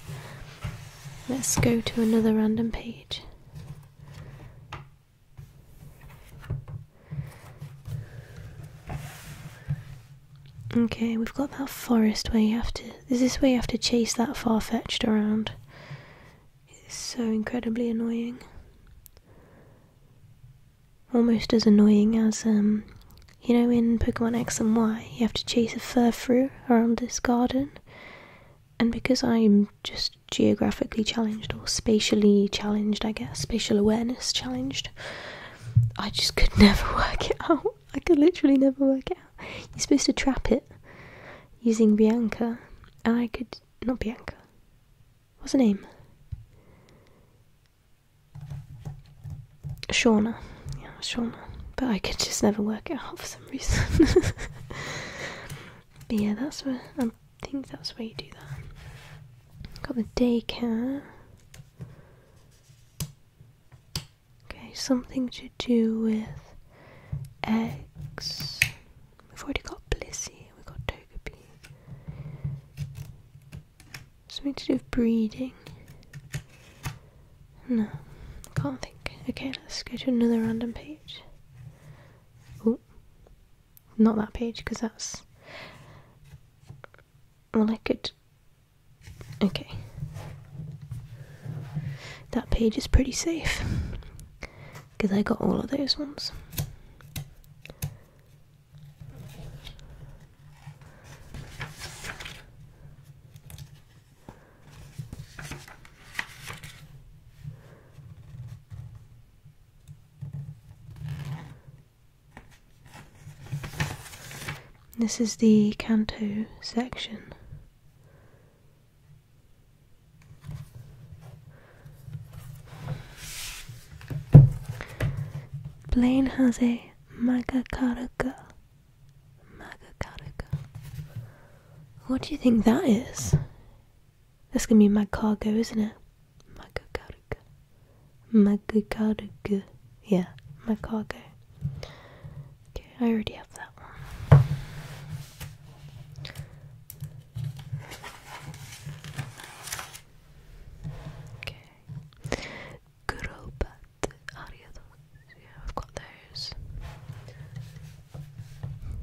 let's go to another random page. Okay, we've got that forest where you have to. Is this where you have to chase that far fetched around? It's so incredibly annoying. Almost as annoying as, um, you know, in Pokemon X and Y, you have to chase a fur through around this garden and because I'm just geographically challenged or spatially challenged, I guess, spatial awareness challenged, I just could never work it out. I could literally never work it out. You're supposed to trap it using Bianca, and I could. Not Bianca. What's her name? Shauna. Yeah, Shauna. But I could just never work it out for some reason. But yeah, that's where I think that's where you do that. Got the daycare. Okay, something to do with eggs. We've already got Blissy. we've got Togepi. Something to do with breeding. No, I can't think. Okay, let's go to another random page. Oh, not that page, because that's... Well, I could... Okay. That page is pretty safe. Because I got all of those ones. This is the canto section. Blaine has a magakaraka. Magakaraka. What do you think that is? That's gonna be my cargo, isn't it? My cargo. cargo. Yeah, my cargo. Okay, I already have that one. Okay. Good old bat. Yeah, I've got those.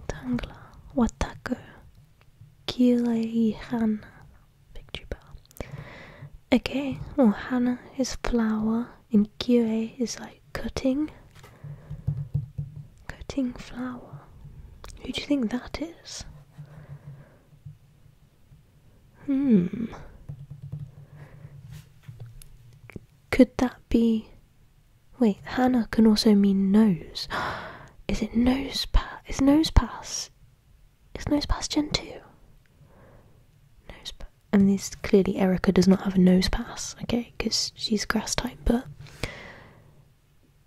Tangla. Watako. Kilehihana picture bar. Okay, well Hana is flower and Kire is like cutting. Cutting flower. Who do you think that
is? Hmm.
Could that be Wait, Hannah can also mean nose. Is it nose pass? Is nose pass? Is nose pass Gen 2? Nose pass. I mean, this, clearly Erica does not have a nose pass, okay? Because she's grass type, but.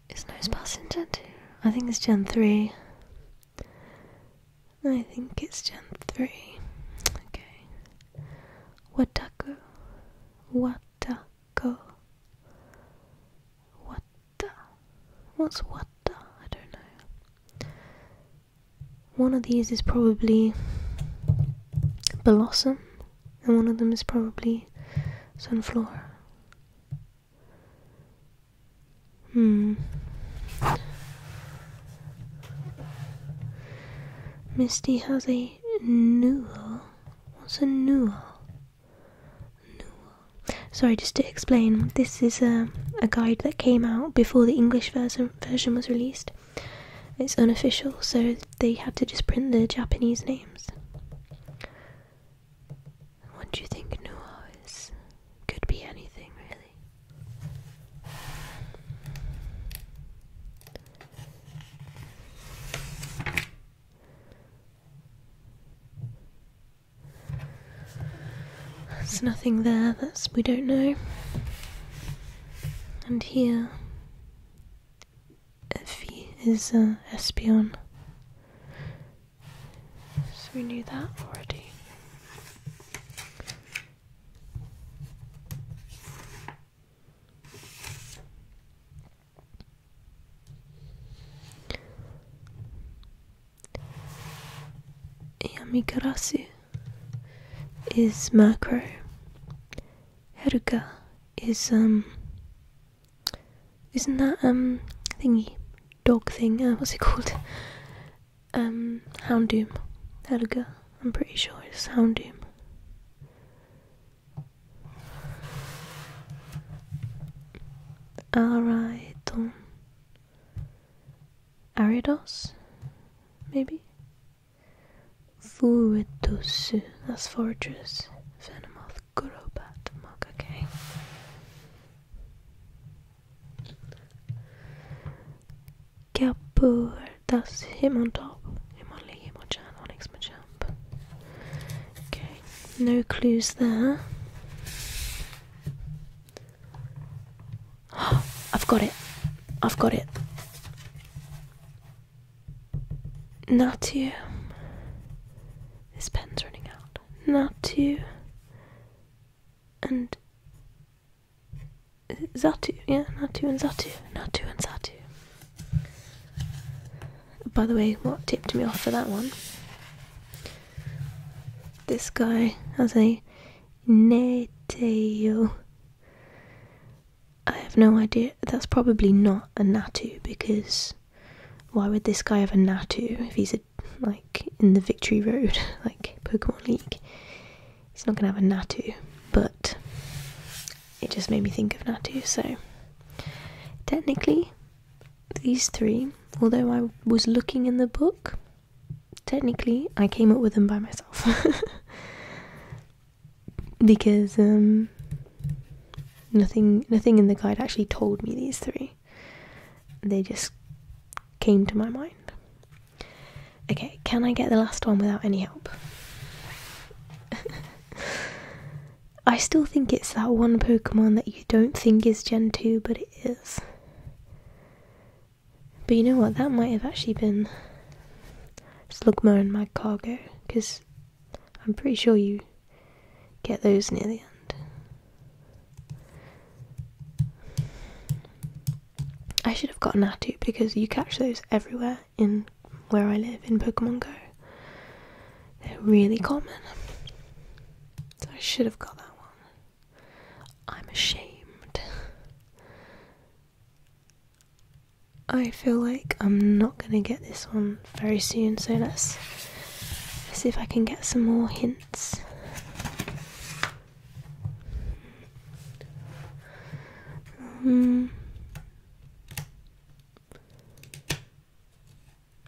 Is nose pass Gen 2? I think it's Gen 3. I think it's Gen 3. Okay. What What Wataku go. What the? What's what the? I don't know. One of these is probably Blossom, and one of them is probably Sunflower. Hmm. Misty has a newel. What's a newel? Noir. Sorry, just to explain, this is a, guide that came out before the English version, was released. It's unofficial, so they had to just print the Japanese names. What do you think noir is? Could be anything, really. There's nothing there that's we don't know. And here, if he is an uh, Espion. So we knew that already. Yamigarasu is macro. Heruka is um isn't that um thingy dog thing, uh, what's it called? Um Houndoom. Heruka, I'm pretty sure it's Houndoom. Araeton. Um, Aridos, maybe? Fuetosu, that's foragers. Venomoth, Gurobat, Mug, okay. Kapur, that's him on top.
Him on Lee, him on Chan, Onyx
Okay, no clues there. Oh, I've got it. I've got it. Not you. This pen's running out. Not you. And Zatu, yeah, not you. and Zatu, you. and Zatu. By the way, what tipped me off for that one? This guy has a Neteo. I have no idea. That's probably not a Natu because why would this guy have a Natu if he's a, like in the Victory Road, like Pokemon League? He's not gonna have a Natu, but it just made me think of Natu. So technically, these three, although I was looking in the book, technically I came up with them by myself. because um, nothing nothing in the guide actually told me these three. They just came to my mind. Okay, can I get the last one without any help? I still think it's that one Pokemon that you don't think is Gen 2, but it is. But you know what? That might have actually been Slugma in my cargo, because I'm pretty sure you get those near the end. I should have gotten Natu because you catch those everywhere in where I live in Pokemon Go. They're really common. I should have got that one. I'm ashamed. I feel like I'm not gonna get this one very soon, so let's, see if I can get some more hints. Um,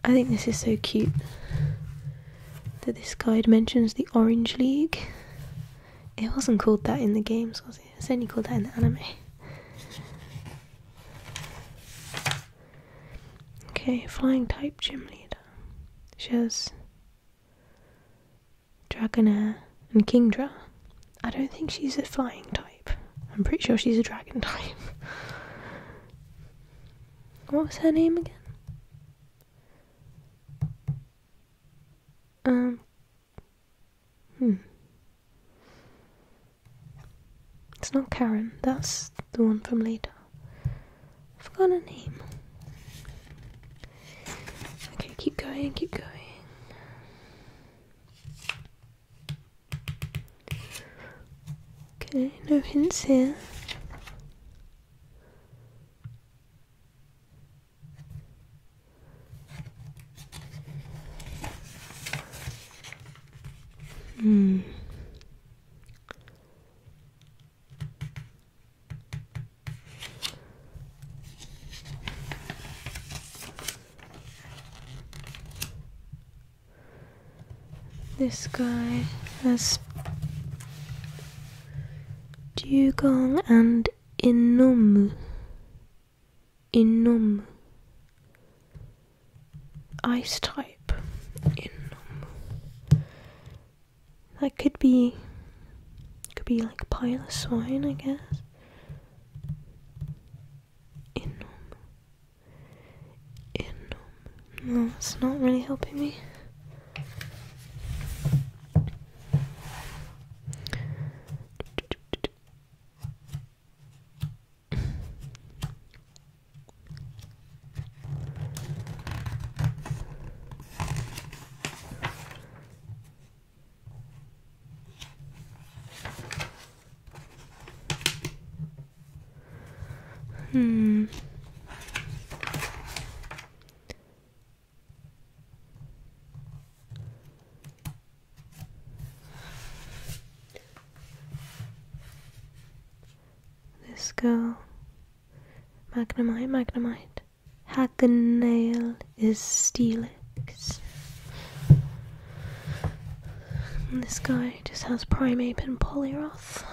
I think this is so cute that this guide mentions the Orange League. It wasn't called that in the games, was it? It's only called that in the anime. Okay, flying type gym leader. She has Dragonair and Kingdra. I don't think she's a flying type. I'm pretty sure she's a dragon type. what was her name again? Um. Hmm. It's not Karen. That's the one from later. I forgot her name. Okay, keep going, keep going. Okay, no hints here.
Hmm. This guy has
dugong and inomu. Inomu. Ice type. Inomu. That could be. Could be like pile of swine, I guess. Inomu it's not really helping me. Hmm. This girl, Magnemite, Magnemite, had the nail is Steelix. this guy, it just has Primeape and Poliwrath.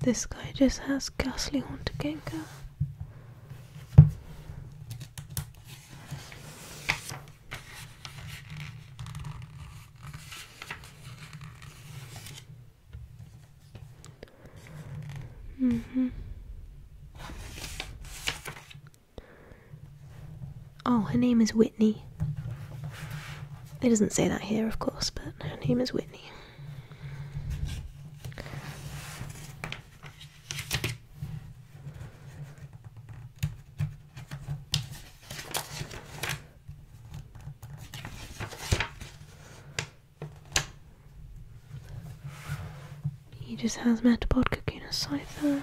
This guy just has Ghastly Haunter Gengar hmm Oh, her name is Whitney. It doesn't say that here, of course, but her name is Whitney. He just has Metapod cooking a cipher.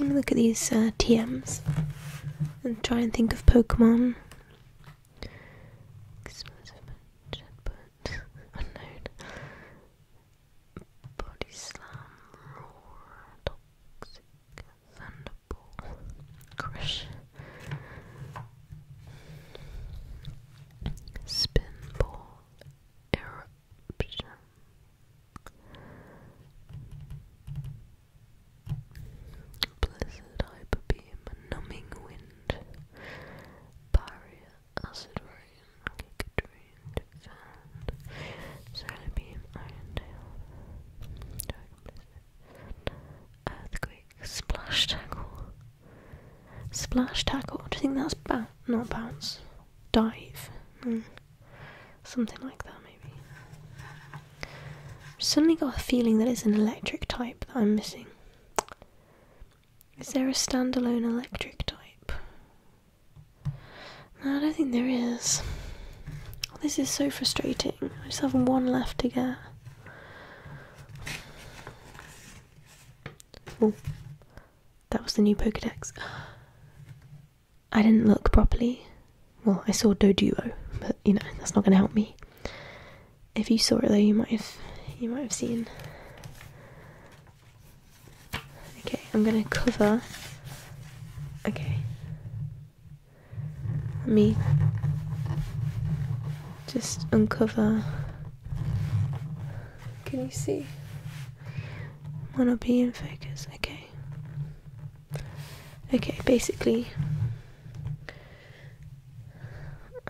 Look at these uh, TMs and try and think of Pokemon. Body slam, roar, toxic, thunderbolt, crush, spin ball, eruption.
Blizzard, hyperbeam, numbing wind, barrier, acid rain, gigadream, fan, solar beam, iron tail, earthquake, splash tackle.
Splash tackle. Do you think that's bounce? Not bounce. Dive. Hmm. Something like that, maybe. suddenly got a feeling that it's an electric type that I'm missing. Is there a standalone electric type? I don't think there is. this is so frustrating. I just have one left to get. Oh, that was the new Pokedex. I didn't look properly. Well, I saw Doduo, but you know that's not going to help me. If you saw it though, you might have you might have seen. Okay, I'm going to cover. Okay, let me just uncover can you see? Wanna be in focus, okay. Okay, basically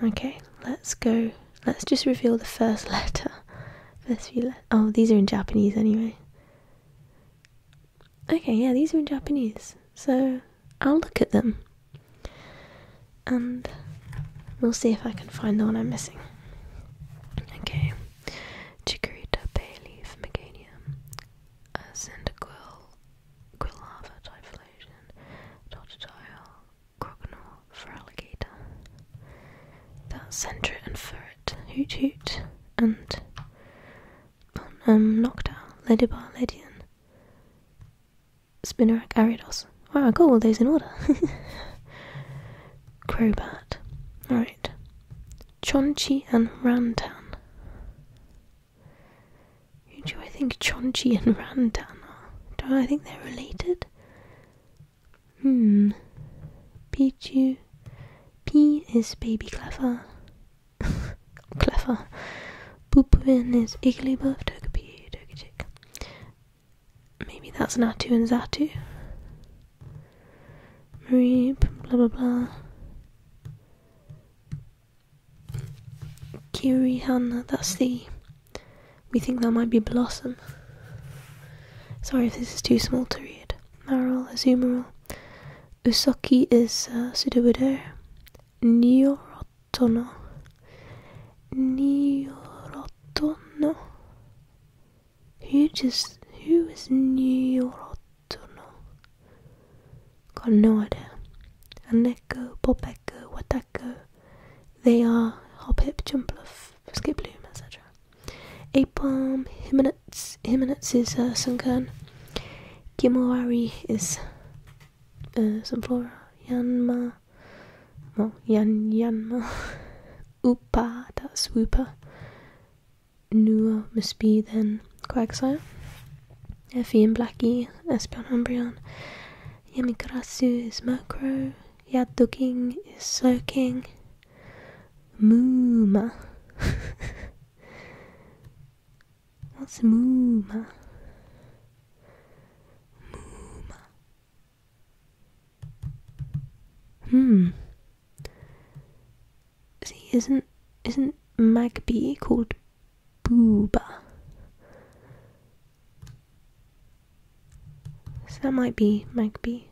Okay, let's go let's just reveal the first letter. First few oh, these are in Japanese anyway. Okay, yeah, these are in Japanese. So I'll look at them and we'll see if I can find the one I'm missing. Okay, Chikorita, Bayleaf, Meganium, uh,
Typhlosion, Totodile, Croconaw, Feraligatr, that Sentret
and Ferret, Hoot Hoot, and um, Noctowl, Ladybar, Ledian, Spinnerack, Ariados. Wow, I got all those in order. Crobat. All right. Chonchi and Rantan. Who do I think Chonchi and Rantan are? Do I think they're related? Hmm. Pichu. P is baby clever. clever. Poopwin is Igglybuff, Togepi, Togechick. Maybe that's Natu and Zatu. Marie, blah blah blah. Kirihana, that's the. We think that might be Blossom. Sorry if this is too small to read. Maril, Azumarill. Usoki is uh, Sudowoodo. Nyorotono Niorotono. Who just who is Niorotono? Got no idea. Aneko, Popeko, Watako. They are Hop Hip, Jump Bluff, Skip Loom, etc. Apalm, Himinets, Himinets is uh, Sunkern. Kimurari is uh, Sunflora, Yanma, no, yan yanma, upa that's swoopa. Nua must be then Quagsire, Effie er and Blackie, Espeon Umbreon, Yamikarasu er is macro. Yaduking er is Soaking, Mooma. What's Mooma? Mooma. Hmm. See, isn't isn't Magpie called Booba? So that might be Magby,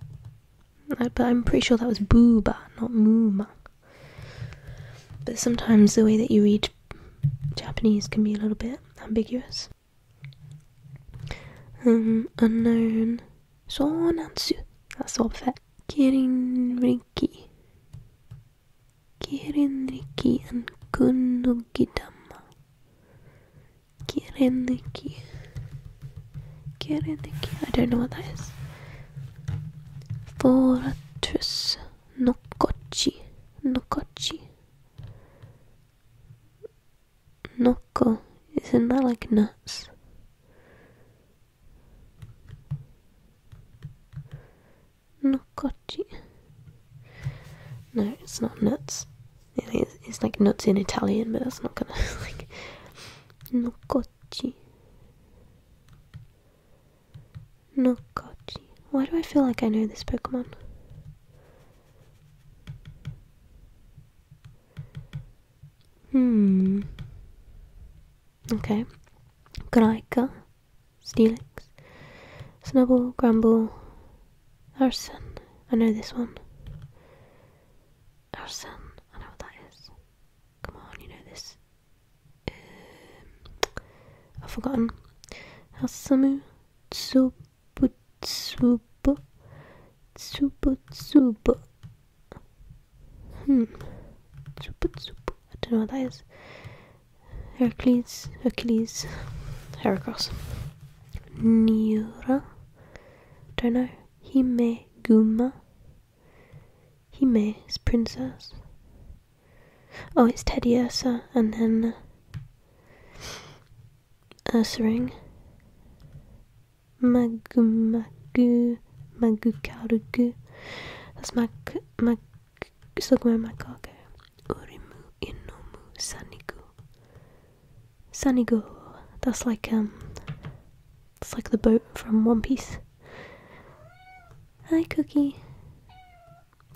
uh, but I'm pretty sure that was Booba, not Mooma. But sometimes the way that you read Japanese can be a little bit ambiguous. Um, So Sonansu. That's all Kirin, riki, kirin, riki, and dama. Kirin, riki, kirin, riki. I don't know what that is. Fortress. Nokochi. Nokochi. Nocco, isn't that like nuts? Noccoci. No, it's not nuts. It is, like nuts in Italian, but that's not gonna like Noccoci. Noccoci. Why do I feel like I know this Pokemon? Hmm. Okay. Graika, Steelix, Snubble, Grumble, Arson. I know this one. Arson. I know what that is. Come on,
you know this. Um,
I've forgotten. Asamu, Tsub, Tsub. Tsub. Tsub. Hmm. Tsub. Tsub. I don't know what that is. Hercules. Hercules. Heracross. Niura. Don't know. Hime. Hime is princess. Oh, it's Teddy and then. Uh, answering Magumagu Magukarugu That's Mak Mak Sugmer Makage Urimu Inomu Sanigu Sanigo. That's like um it's like the boat from One Piece. Hi Cookie.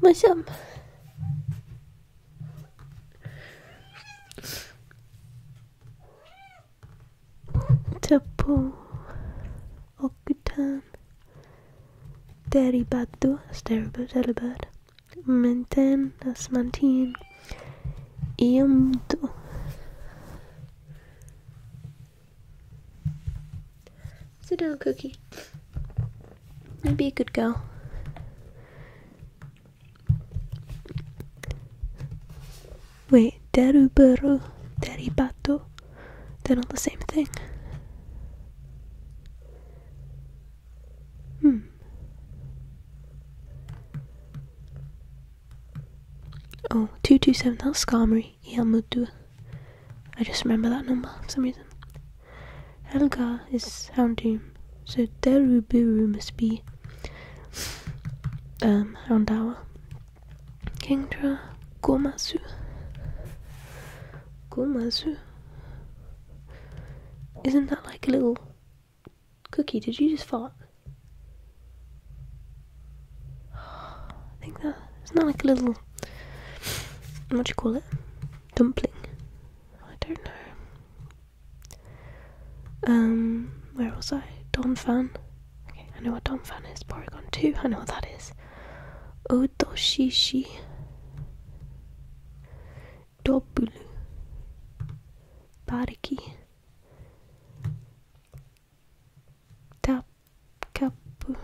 What's up? Tapu Okutan Deribadu Asteribad Elibad Menten Asmantin Iamdu Sit down, Cookie. You'd be a good girl. Wait, deruburu, deribato, they're not the same thing. Hmm. Oh, 227, that's Skarmory, Ielmutu. I just remember that number for some reason. Helga is Houndoom, so Deruburu must be um, Houndour. Kingdra, Gomazu. Gomasu? Isn't that like a little cookie? Did you just fart?
I think
that. Isn't like a little. What do you call it? Dumpling. I don't know. Um, where was I? Donphan. Okay, I know what Donphan is. Porygon 2, I know what that is. Odoshishi. Dobulu. Bariki. Tap. Kapu.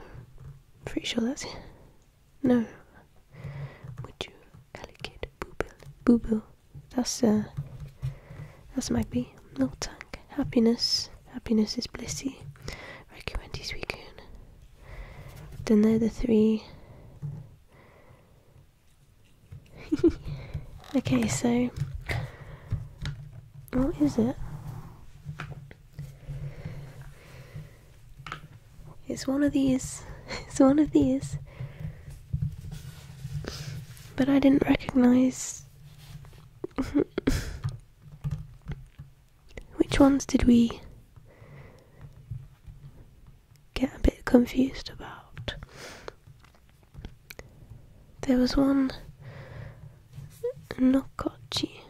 Pretty sure that's No, would you allocate booble? That's a. Uh, that's might be no tank. Happiness. Happiness is blissy. Recommend Suicune. Then there are the three Okay, so what is it? It's one of these. It's one of these. But I didn't recognize. Which ones did we get a bit confused about? There was one. Nokochi.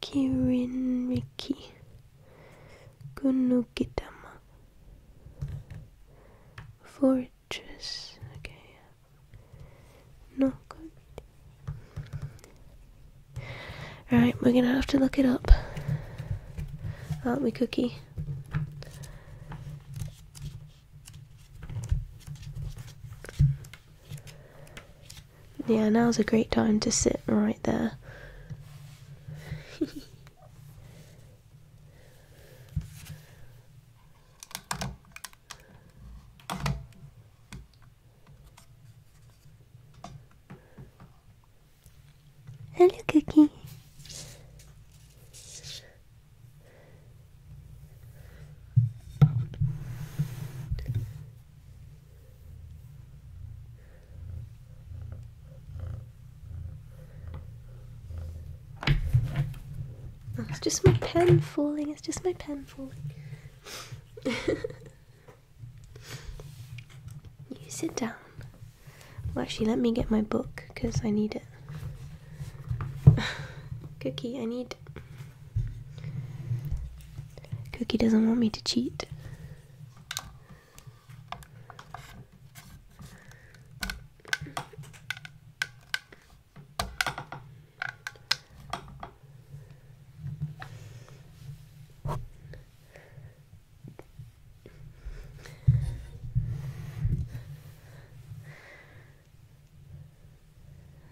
Kirinriki Kunukitama Fortress. Okay. No good. Alright, we're gonna have to look it up. Aren't we, Cookie? Yeah, now's a great time to sit right there.
Hello, Cookie. Oh, it's just my pen
falling, it's just my pen falling. you sit down. Well, actually, let me get my book because I need it. Cookie, I need. Cookie doesn't want me to cheat.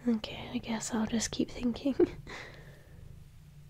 Okay, I guess I'll just keep thinking.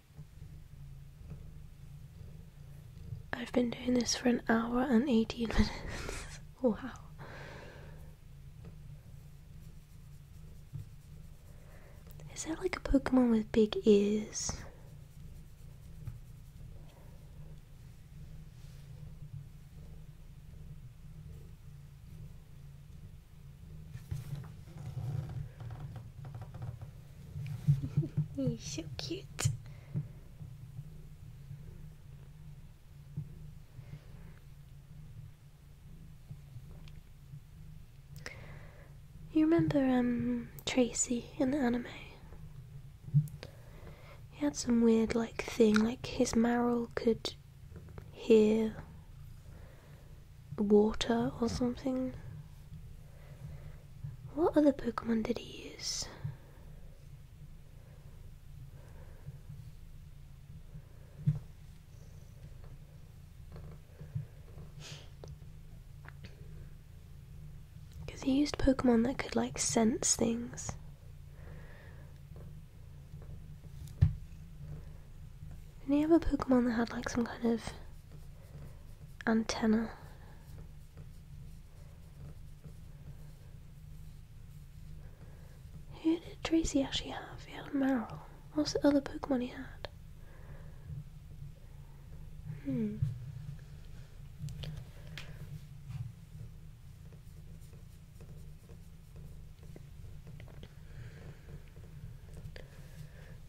I've been doing this for an hour and 18 minutes. wow. Is that like a Pokemon with big ears?
You're so cute.
You remember um Tracy in the anime? He had some weird like thing, like his marrow could hear water or something. What other Pokemon did he use? Because he used Pokemon that could like sense things. did he have a Pokemon that had like some kind of antenna who did Tracy actually have? He had Meryl. What's the other Pokemon he had? Hmm.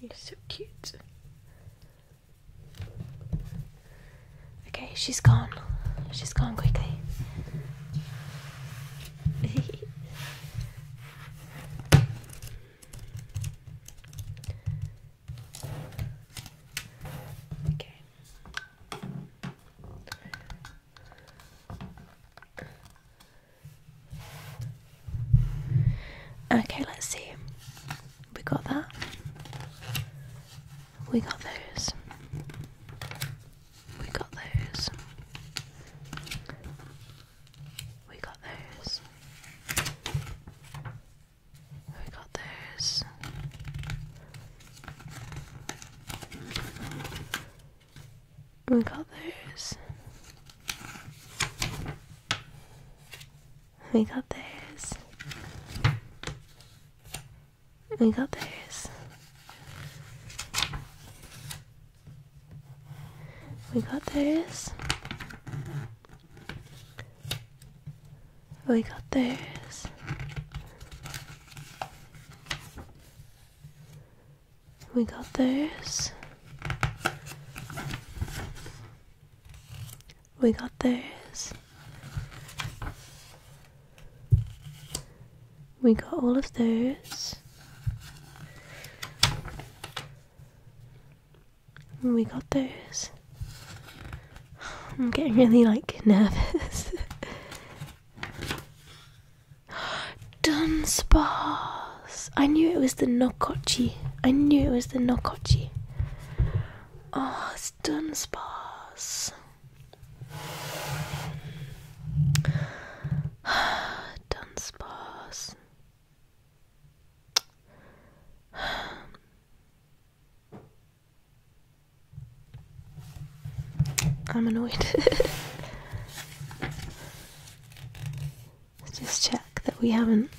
You're so cute.
Okay, she's gone. She's gone quickly. okay. Okay, let's see. We got that. We got those. We got those. We got those.
We got those we
got those. We got those. We got those. We got those. We got those. We got those. We got those. We got all of those. We got those. I'm getting really like nervous. Dunsparce. I knew it was the Nokochi. I knew it was the Nokochi. Oh, it's Dunsparce. Dunsparce. I'm annoyed. Let's just check that we haven't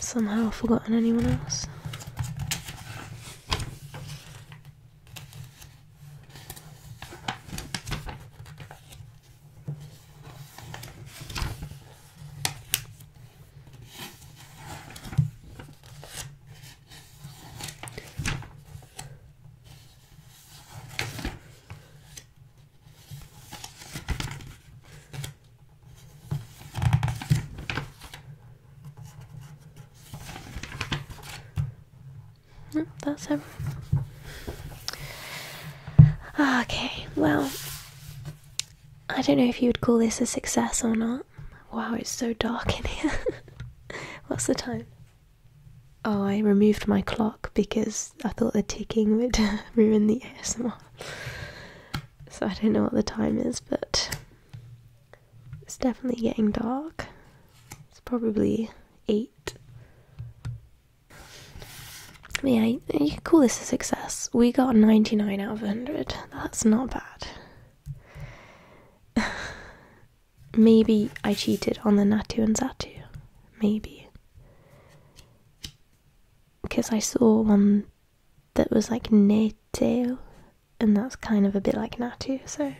somehow forgotten anyone else that's him. Okay, well, I don't know if you would call this a success or not. Wow, it's so dark in here. What's the time? Oh, I removed my clock because I thought the ticking would ruin the ASMR. So I don't know what the time is, but it's definitely getting dark. It's probably 8. yeah, you can call this a success. We got 99 out of 100. That's not bad. Maybe I cheated on the Natu and Zatu. Maybe. Because I saw one that was like Neteo, and that's kind of a bit like Natu, so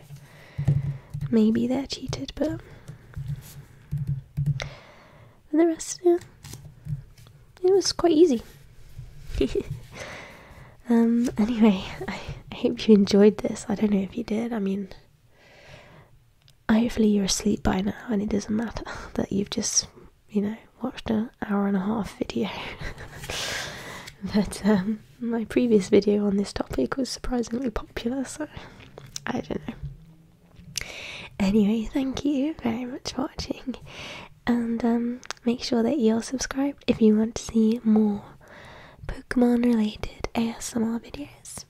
maybe they're cheated, but. the rest, yeah, it was quite easy. um, anyway, I hope you enjoyed this. I don't know if you did. I mean, hopefully you're asleep by now and it doesn't matter that you've just, you know, watched an hour and a half video. but um, my previous video on this topic was surprisingly popular, so I don't know. Anyway, thank you very much for watching, and um, make sure that you're subscribed if you want to see more
Pokemon related ASMR videos.